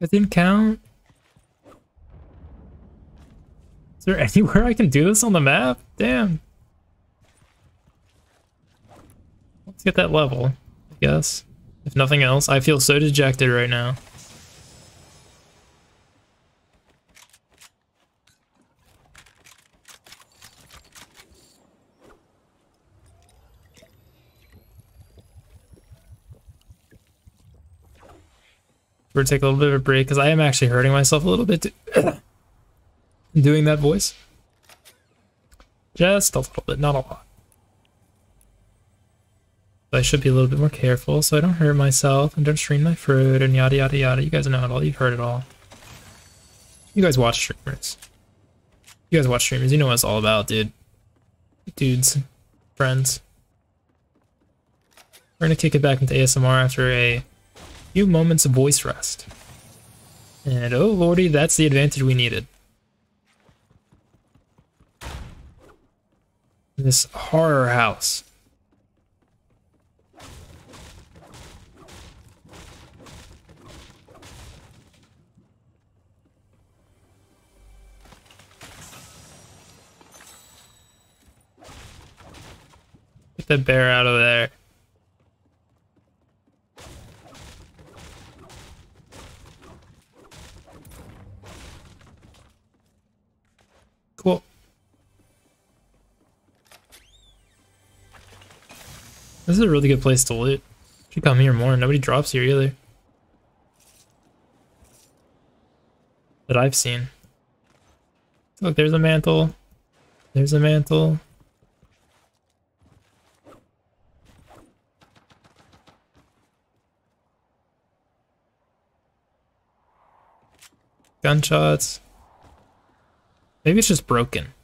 That didn't count? Is there anywhere I can do this on the map? Damn. Let's get that level, I guess. If nothing else, I feel so dejected right now. We're gonna take a little bit of a break because I am actually hurting myself a little bit doing that voice. Just a little bit, not a lot. I should be a little bit more careful so I don't hurt myself and don't stream my food and yada yada yada. You guys know it all. You've heard it all. You guys watch streamers. You guys watch streamers. You know what it's all about, dude. Dudes. Friends. We're going to kick it back into ASMR after a Few moments of voice rest. And oh lordy, that's the advantage we needed. This horror house. Get the bear out of there. Cool. This is a really good place to loot. Should come here more. Nobody drops here either. That I've seen. Look, there's a mantle. There's a mantle. Gunshots. Maybe it's just broken.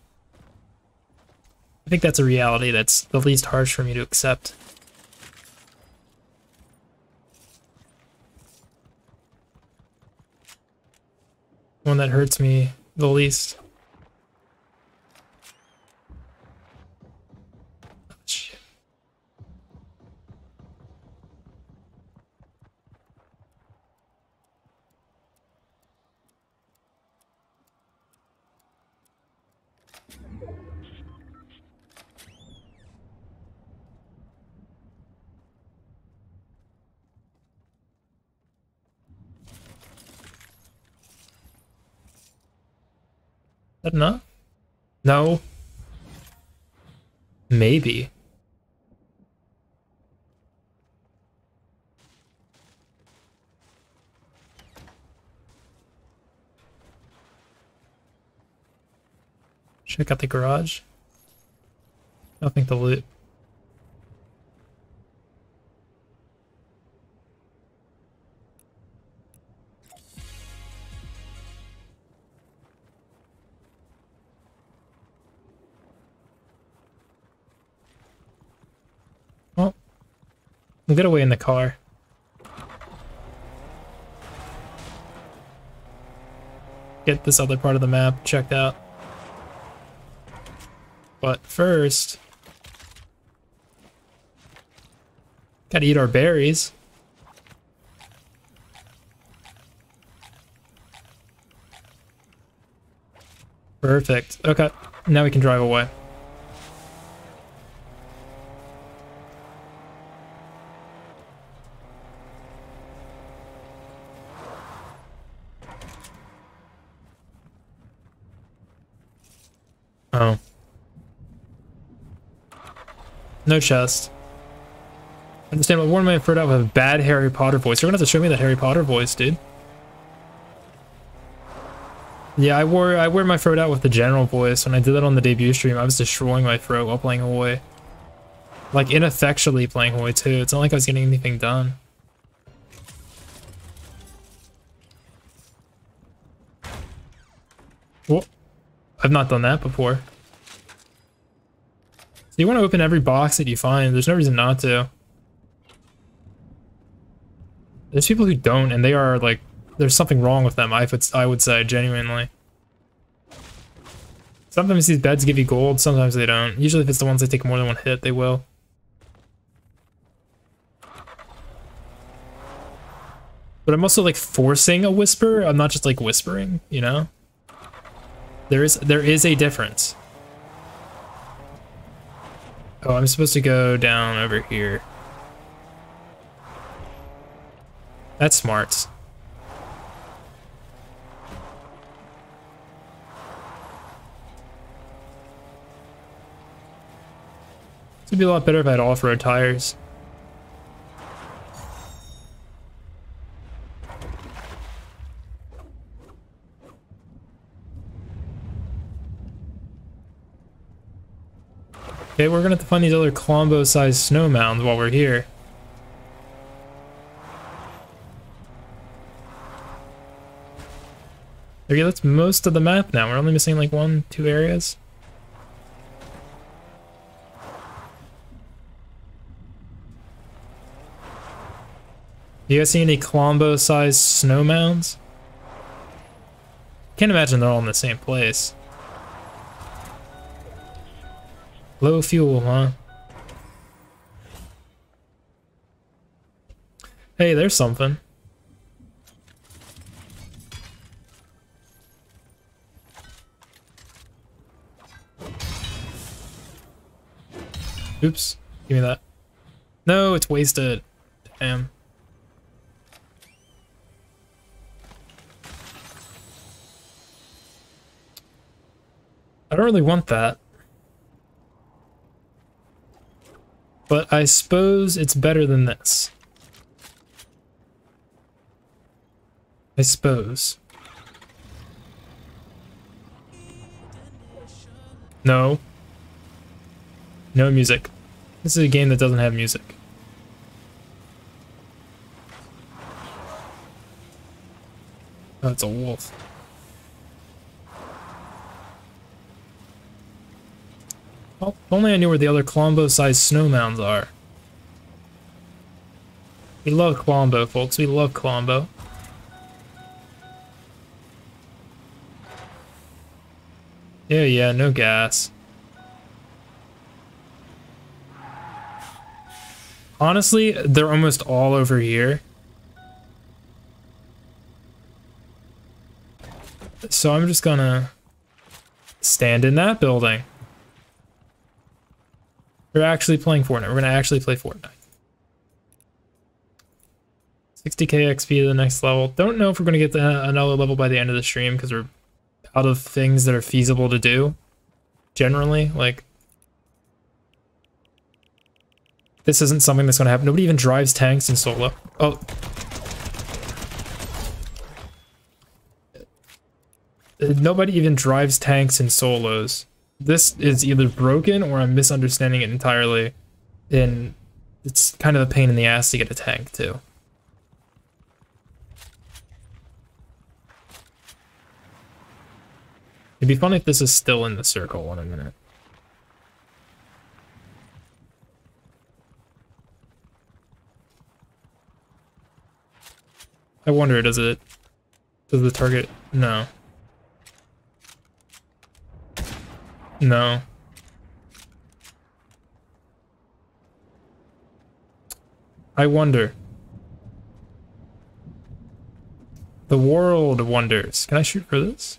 I think that's a reality that's the least harsh for me to accept. One that hurts me the least. That not? No. Maybe. Check out the garage. I don't think the loot. Well, get away in the car. Get this other part of the map checked out. But first, gotta eat our berries. Perfect. Okay, now we can drive away. Oh. No chest. Understand I wore my throat out with a bad Harry Potter voice. You're gonna have to show me that Harry Potter voice, dude. Yeah, I wore I wear my throat out with the general voice. When I did that on the debut stream, I was destroying my throat while playing HoI, Like ineffectually playing HoI too. It's not like I was getting anything done. Well, I've not done that before. So you want to open every box that you find. There's no reason not to. There's people who don't, and they are like, there's something wrong with them. I would, I would say genuinely. Sometimes these beds give you gold, sometimes they don't. Usually if it's the ones that take more than one hit, they will. But I'm also like forcing a whisper. I'm not just like whispering, you know? There is there is a difference. Oh, I'm supposed to go down over here. That's smart. This would be a lot better if I had off-road tires. Okay, we're gonna have to find these other Colombo-sized snow mounds while we're here. Okay, that's most of the map now. We're only missing like one, two areas. you guys see any Colombo-sized snow mounds? Can't imagine they're all in the same place. Low fuel, huh? Hey, there's something. Oops. Give me that. No, it's wasted. Damn. I don't really want that. But I suppose it's better than this. I suppose. No. No music. This is a game that doesn't have music. That's oh, a wolf. Oh, if only I knew where the other Colombo-sized snow mounds are. We love Colombo, folks. We love Colombo. Yeah, yeah, no gas. Honestly, they're almost all over here. So I'm just gonna stand in that building. We're actually playing Fortnite. We're gonna actually play Fortnite. 60k XP to the next level. Don't know if we're gonna get another level by the end of the stream because we're out of things that are feasible to do. Generally, like this isn't something that's going to happen. Nobody even drives tanks in solo. Oh. Nobody even drives tanks in solos. This is either broken or I'm misunderstanding it entirely. And it's kind of a pain in the ass to get a tank too. It'd be funny if this is still in the circle in a minute. I wonder, does it... Does the target... No. No. I wonder. The world wonders. Can I shoot for this?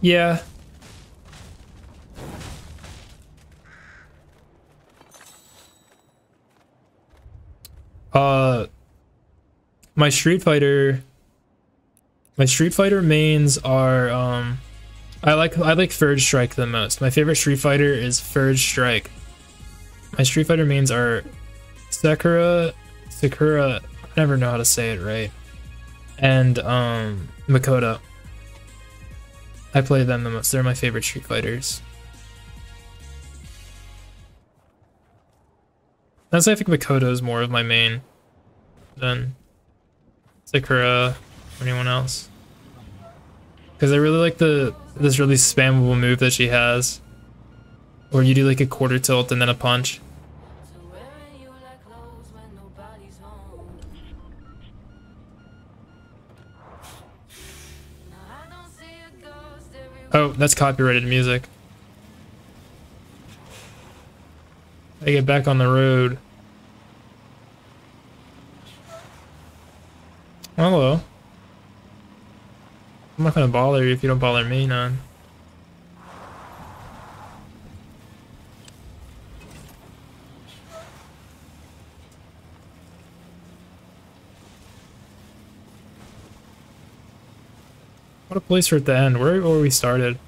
Yeah. Uh, my Street Fighter, my Street Fighter mains are, um, I like, I like Third Strike the most. My favorite Street Fighter is Third Strike. My Street Fighter mains are Sakura, Sakura, I never know how to say it right, and, um, Makoto. I play them the most. They're my favorite Street Fighters. That's I think Makoto is more of my main than Sakura or anyone else. Because I really like the this really spammable move that she has. where you do like a quarter tilt and then a punch clothes when nobody's home. Oh, that's copyrighted music. I get back on the road. Hello. Oh, I'm not gonna bother you if you don't bother me, none. What a place for are at the end. Where where we started?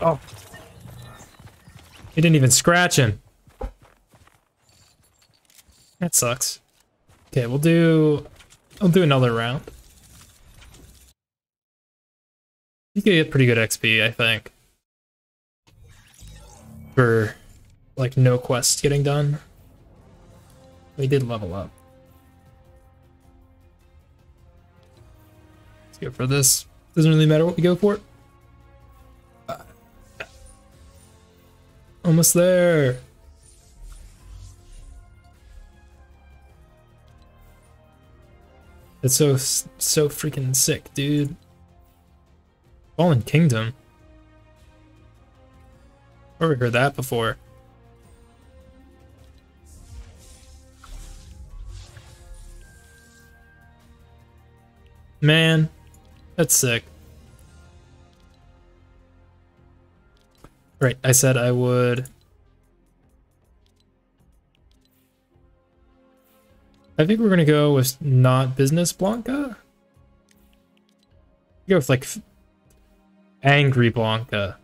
Oh. He didn't even scratch him. That sucks. Okay, we'll do... I'll do another round. You could get pretty good XP, I think. For like no quests getting done. We did level up. Let's go for this. Doesn't really matter what we go for. Uh, almost there. It's so so freaking sick, dude. Fallen Kingdom. I've Never heard that before. Man, that's sick. Right, I said I would... I think we're going to go with not Business Blanca. Here with like angry Blanca.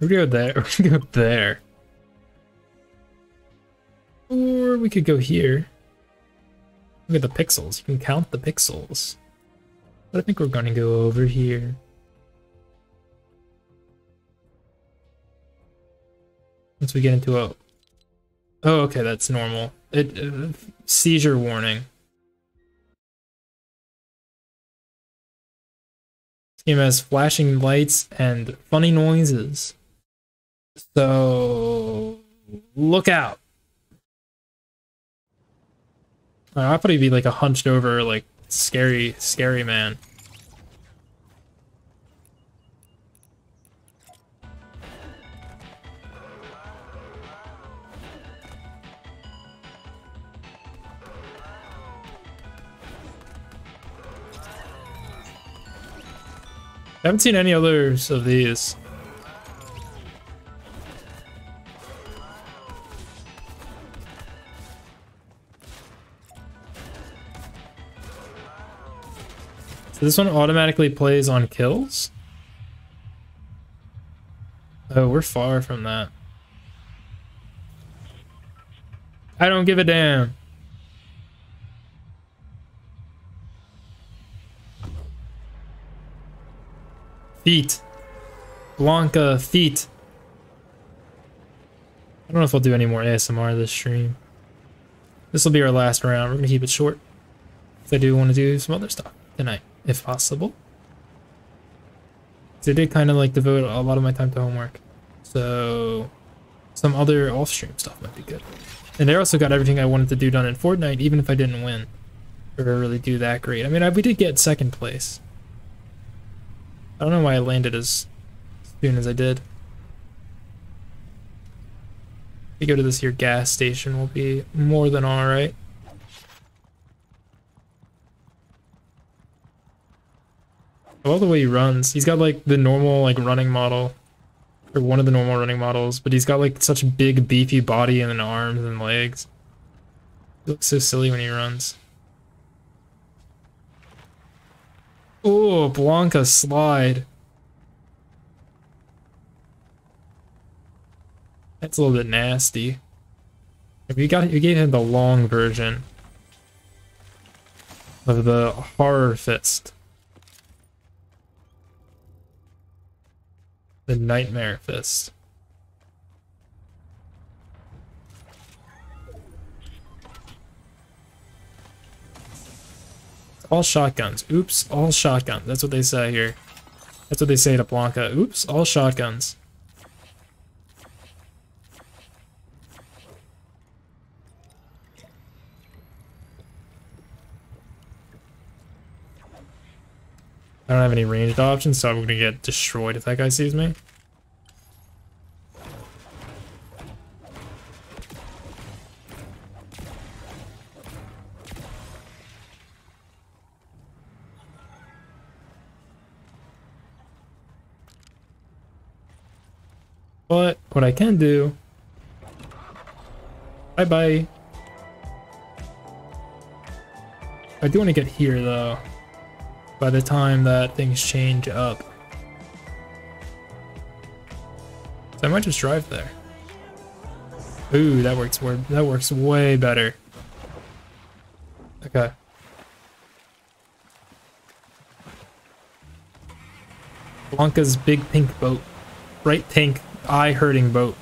We go there. We go there. Or we could go here. Look at the pixels. You can count the pixels. But I think we're gonna go over here. Once we get into a... Oh, okay, that's normal. It uh, Seizure warning. This game has flashing lights and funny noises. So... Look out! I'll probably be like a hunched over, like scary, scary man. haven't seen any others of these. So this one automatically plays on kills? Oh, we're far from that. I don't give a damn. Feet. Blanca feet. I don't know if i will do any more ASMR this stream. This will be our last round. We're going to keep it short. If I do want to do some other stuff tonight, if possible. I did kind of like devote a lot of my time to homework. So some other off-stream stuff might be good. And I also got everything I wanted to do done in Fortnite, even if I didn't win or really do that great. I mean, we did get second place, I don't know why I landed as soon as I did. If we go to this here gas station, we'll be more than alright. All the way he runs. He's got like the normal like running model, or one of the normal running models, but he's got like such big beefy body and arms and legs. He looks so silly when he runs. Oh, Blanca slide. That's a little bit nasty. If you got you gave him the long version of the horror fist. The nightmare fist. All shotguns. Oops, all shotguns. That's what they say here. That's what they say to Blanca. Oops, all shotguns. I don't have any ranged options, so I'm gonna get destroyed if that guy sees me. But what I can do... Bye-bye. I do want to get here, though by the time that things change up. So I might just drive there. Ooh, that works that works way better. Okay. Blanca's big pink boat. bright pink eye hurting boat.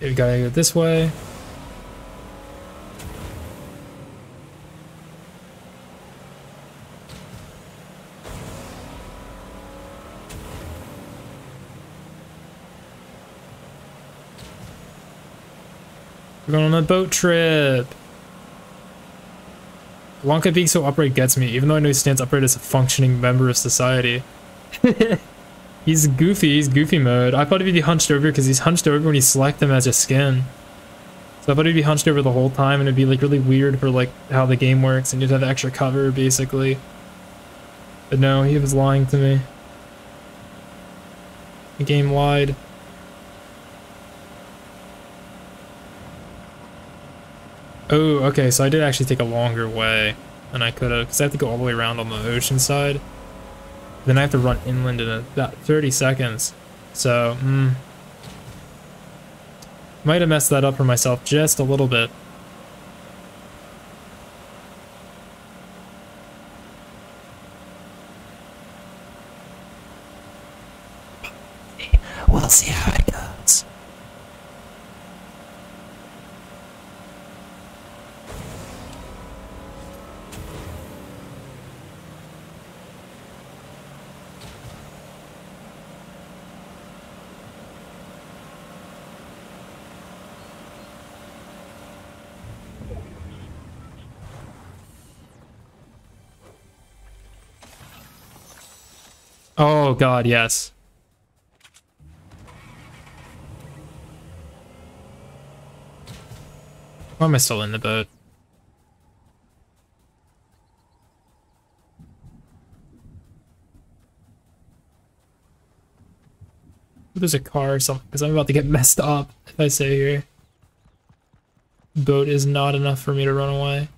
We gotta go this way. We're going on a boat trip. Blanca being so upright gets me, even though I know he stands upright as a functioning member of society. He's goofy. He's goofy mode. I thought he'd be hunched over because he's hunched over when you select them as a skin. So I thought he'd be hunched over the whole time and it'd be like really weird for like how the game works and you'd have extra cover basically. But no, he was lying to me. The game lied. Oh, okay, so I did actually take a longer way than I could have because I have to go all the way around on the ocean side. Then I have to run inland in about 30 seconds. So, hmm. Might have messed that up for myself just a little bit. We'll see how it goes. Oh god, yes. Why am I still in the boat? There's a car or something, because I'm about to get messed up if I stay here. Boat is not enough for me to run away.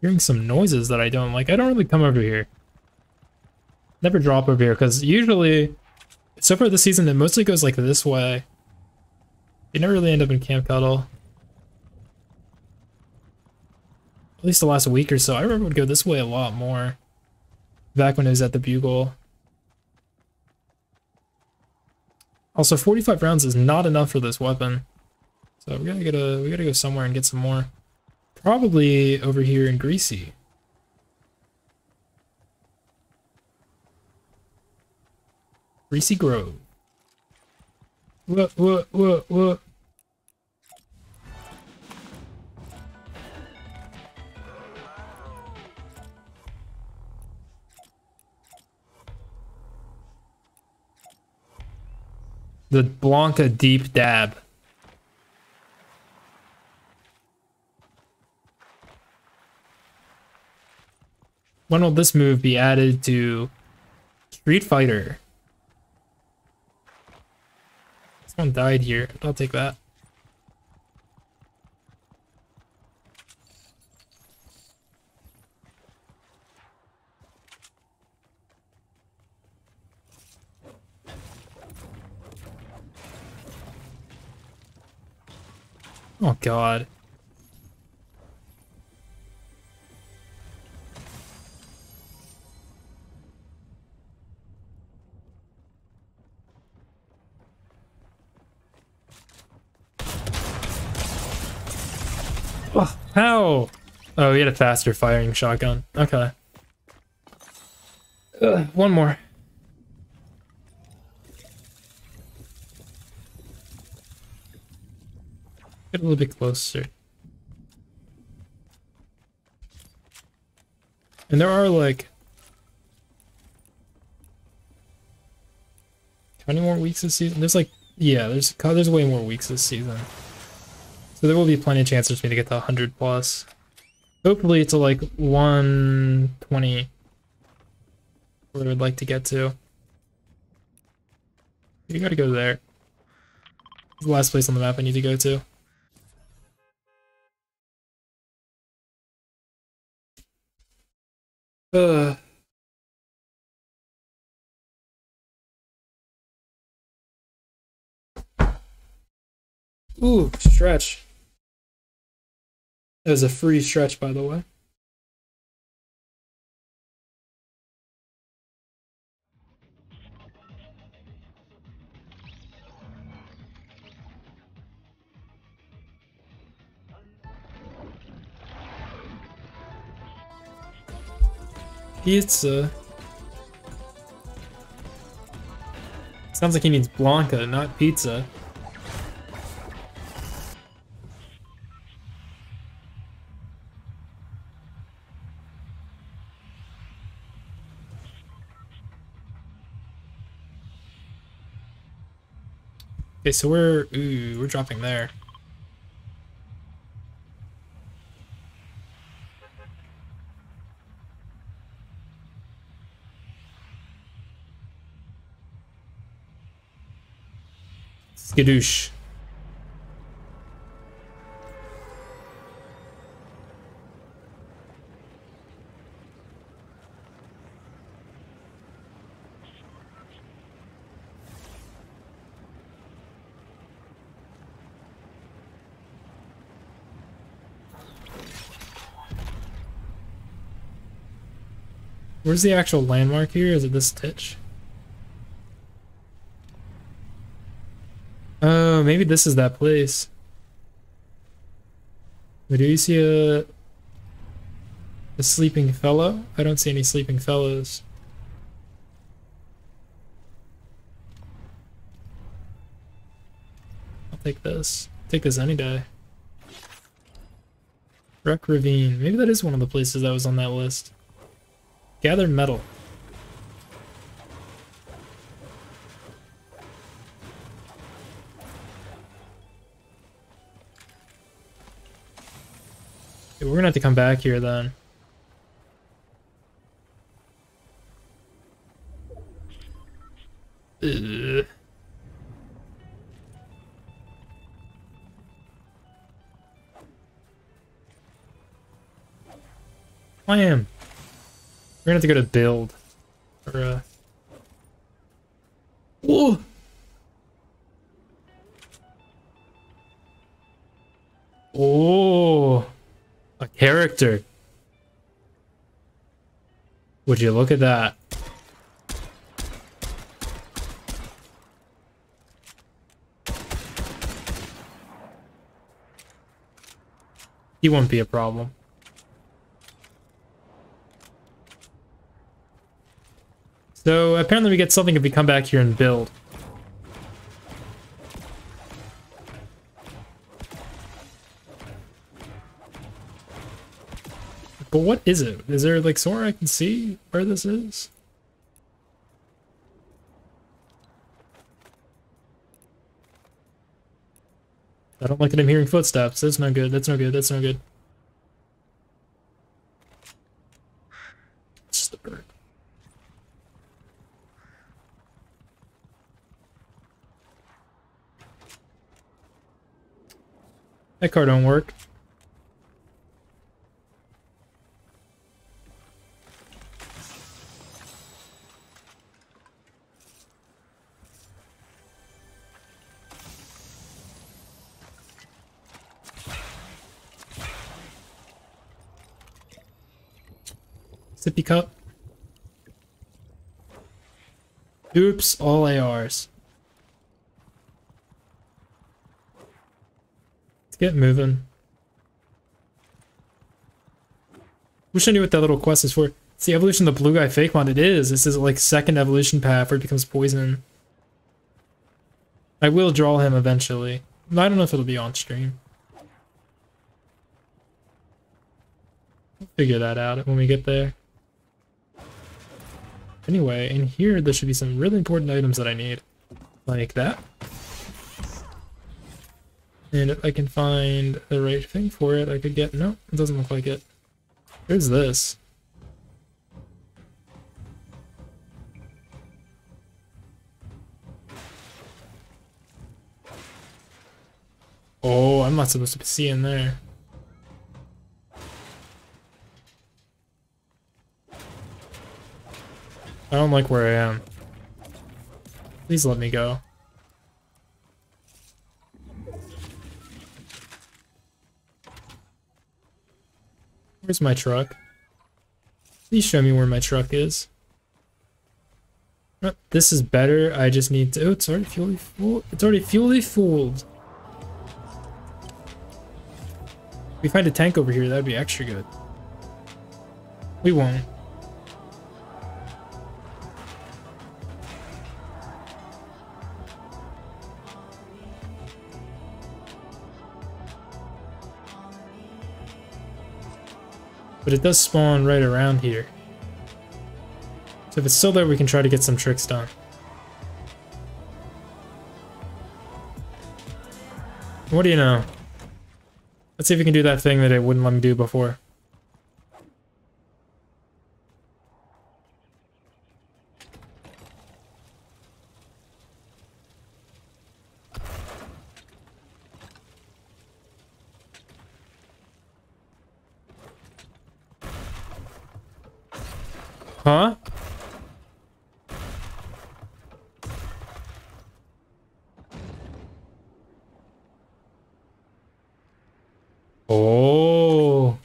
Hearing some noises that I don't like. I don't really come over here. Never drop over here, because usually, so far this season, it mostly goes like this way. You never really end up in Camp Cuddle at least the last week or so. I remember we would go this way a lot more back when it was at the Bugle. Also, 45 rounds is not enough for this weapon. So we gotta get a we gotta go somewhere and get some more. Probably over here in Greasy. Greasy Grove. What what what what the Blanca deep dab. When will this move be added to Street Fighter? Someone died here. I'll take that. Oh god. Oh, how? Oh, he had a faster firing shotgun. Okay. one more. Get a little bit closer. And there are like... twenty more weeks this season? There's like, yeah, there's there's way more weeks this season. So there will be plenty of chances for me to get the 100 plus. Hopefully to like 120 where I would like to get to. You gotta go there. It's the last place on the map I need to go to. Uh. Ooh, stretch. That was a free stretch, by the way. Pizza. Sounds like he needs Blanca, not pizza. Okay, so we're we're dropping there. Skidoosh. Where's the actual landmark here? Is it this ditch? Oh, maybe this is that place. do you see a, a sleeping fellow? I don't see any sleeping fellows. I'll take this. Take this any day. Wreck Ravine. Maybe that is one of the places that was on that list. Gather metal. we're gonna have to come back here then. Clam! We're gonna have to go to build. Or, uh... Whoa! Oh! A character. Would you look at that? He won't be a problem. So apparently we get something if we come back here and build. But what is it? Is there like somewhere I can see where this is? I don't like that I'm hearing footsteps. That's not good. That's not good. That's not good. It's just a That car don't work. Sippy cup. Oops, all ARs. Let's get moving. Wish I knew what that little quest is for. It's the evolution of the blue guy fake mod. It is. This is like second evolution path where it becomes poison. I will draw him eventually. I don't know if it'll be on stream. figure that out when we get there. Anyway, in here there should be some really important items that I need like that. And if I can find the right thing for it, I could get... No, it doesn't look like it. Here's this. Oh, I'm not supposed to be seeing there. I don't like where I am. Please let me go. Where's my truck? Please show me where my truck is. this is better. I just need to. Oh, it's already fully full. It's already fully fooled. we find a tank over here, that'd be extra good. We won. But it does spawn right around here. So if it's still there, we can try to get some tricks done. What do you know? Let's see if you can do that thing that it wouldn't let me do before. Huh? Oh.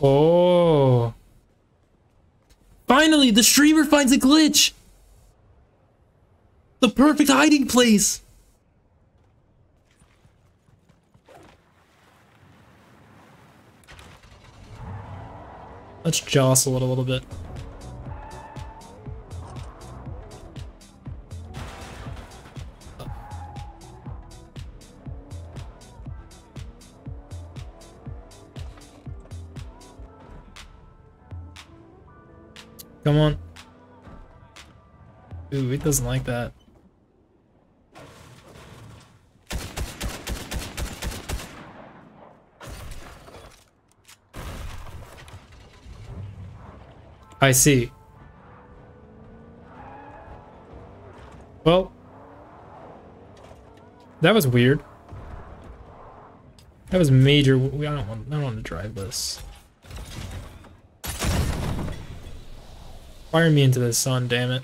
Oh. Finally, the streamer finds a glitch. The perfect hiding place! Let's jostle it a little bit. Come on. Ooh, it doesn't like that. I see. Well, that was weird. That was major. I don't want. to drive this. Fire me into the sun, damn it.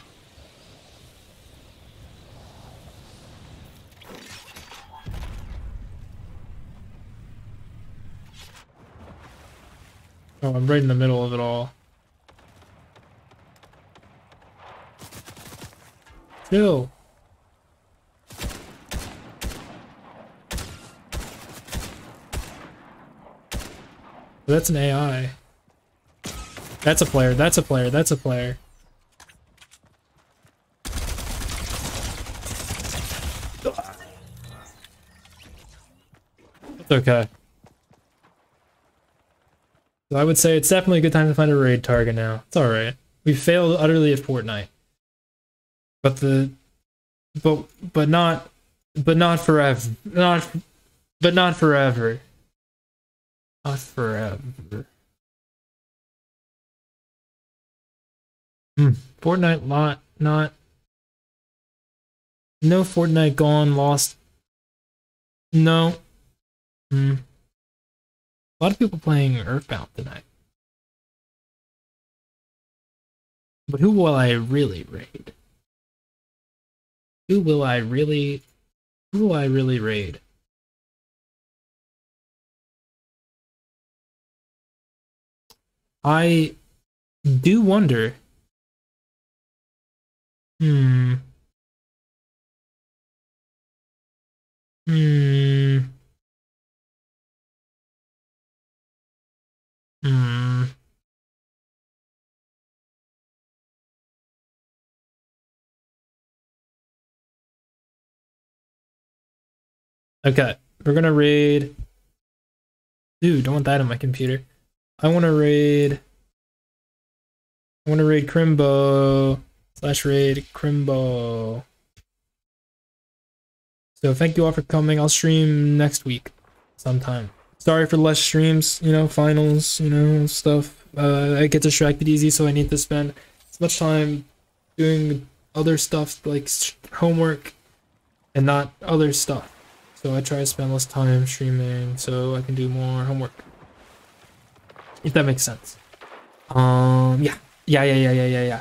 Oh, I'm right in the middle of it all. Chill. That's an AI. That's a player, that's a player, that's a player. It's okay. I would say it's definitely a good time to find a raid target now. It's alright. We failed utterly at Fortnite. But the but but not but not forever. Not but not forever. Not forever. Hmm. Fortnite lot not no Fortnite gone lost. No. Hmm. A lot of people playing Earthbound tonight. But who will I really raid? Who will I really who will I really raid? I do wonder. Hmm. Hmm. Hmm. Okay, we're gonna raid. Dude, don't want that on my computer. I want to raid. I want to raid Crimbo slash raid Crimbo. So thank you all for coming. I'll stream next week sometime. Sorry for less streams, you know, finals, you know, stuff. Uh, I get distracted easy, so I need to spend as much time doing other stuff like homework and not other stuff. So I try to spend less time streaming so I can do more homework. If that makes sense. Um, yeah. Yeah, yeah, yeah, yeah, yeah, yeah.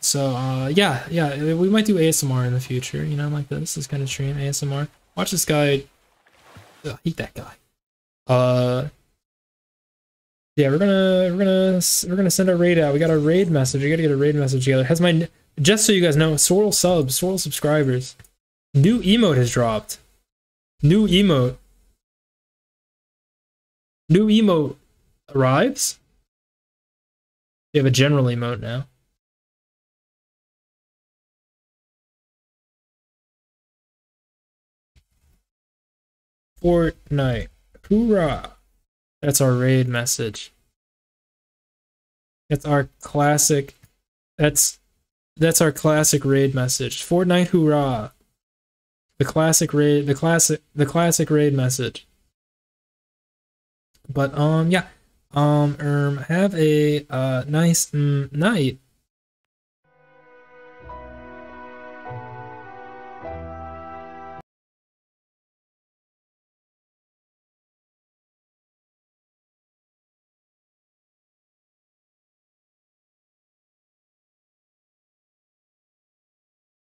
So uh, yeah, yeah, we might do ASMR in the future. You know, like this is kind of stream ASMR. Watch this guy. Ugh, hate that guy. Uh, yeah, we're gonna we're gonna we're gonna send a raid out. We got a raid message. We gotta get a raid message together. Has my just so you guys know, Sorrel subs, Sorrel subscribers. New emote has dropped. New emote. New emote arrives. We have a general emote now. Fortnite. Hoorah! That's our raid message. That's our classic. That's that's our classic raid message. Fortnite hoorah. The classic raid the classic the classic raid message. But um, yeah. Um, um have a uh, nice mm, night.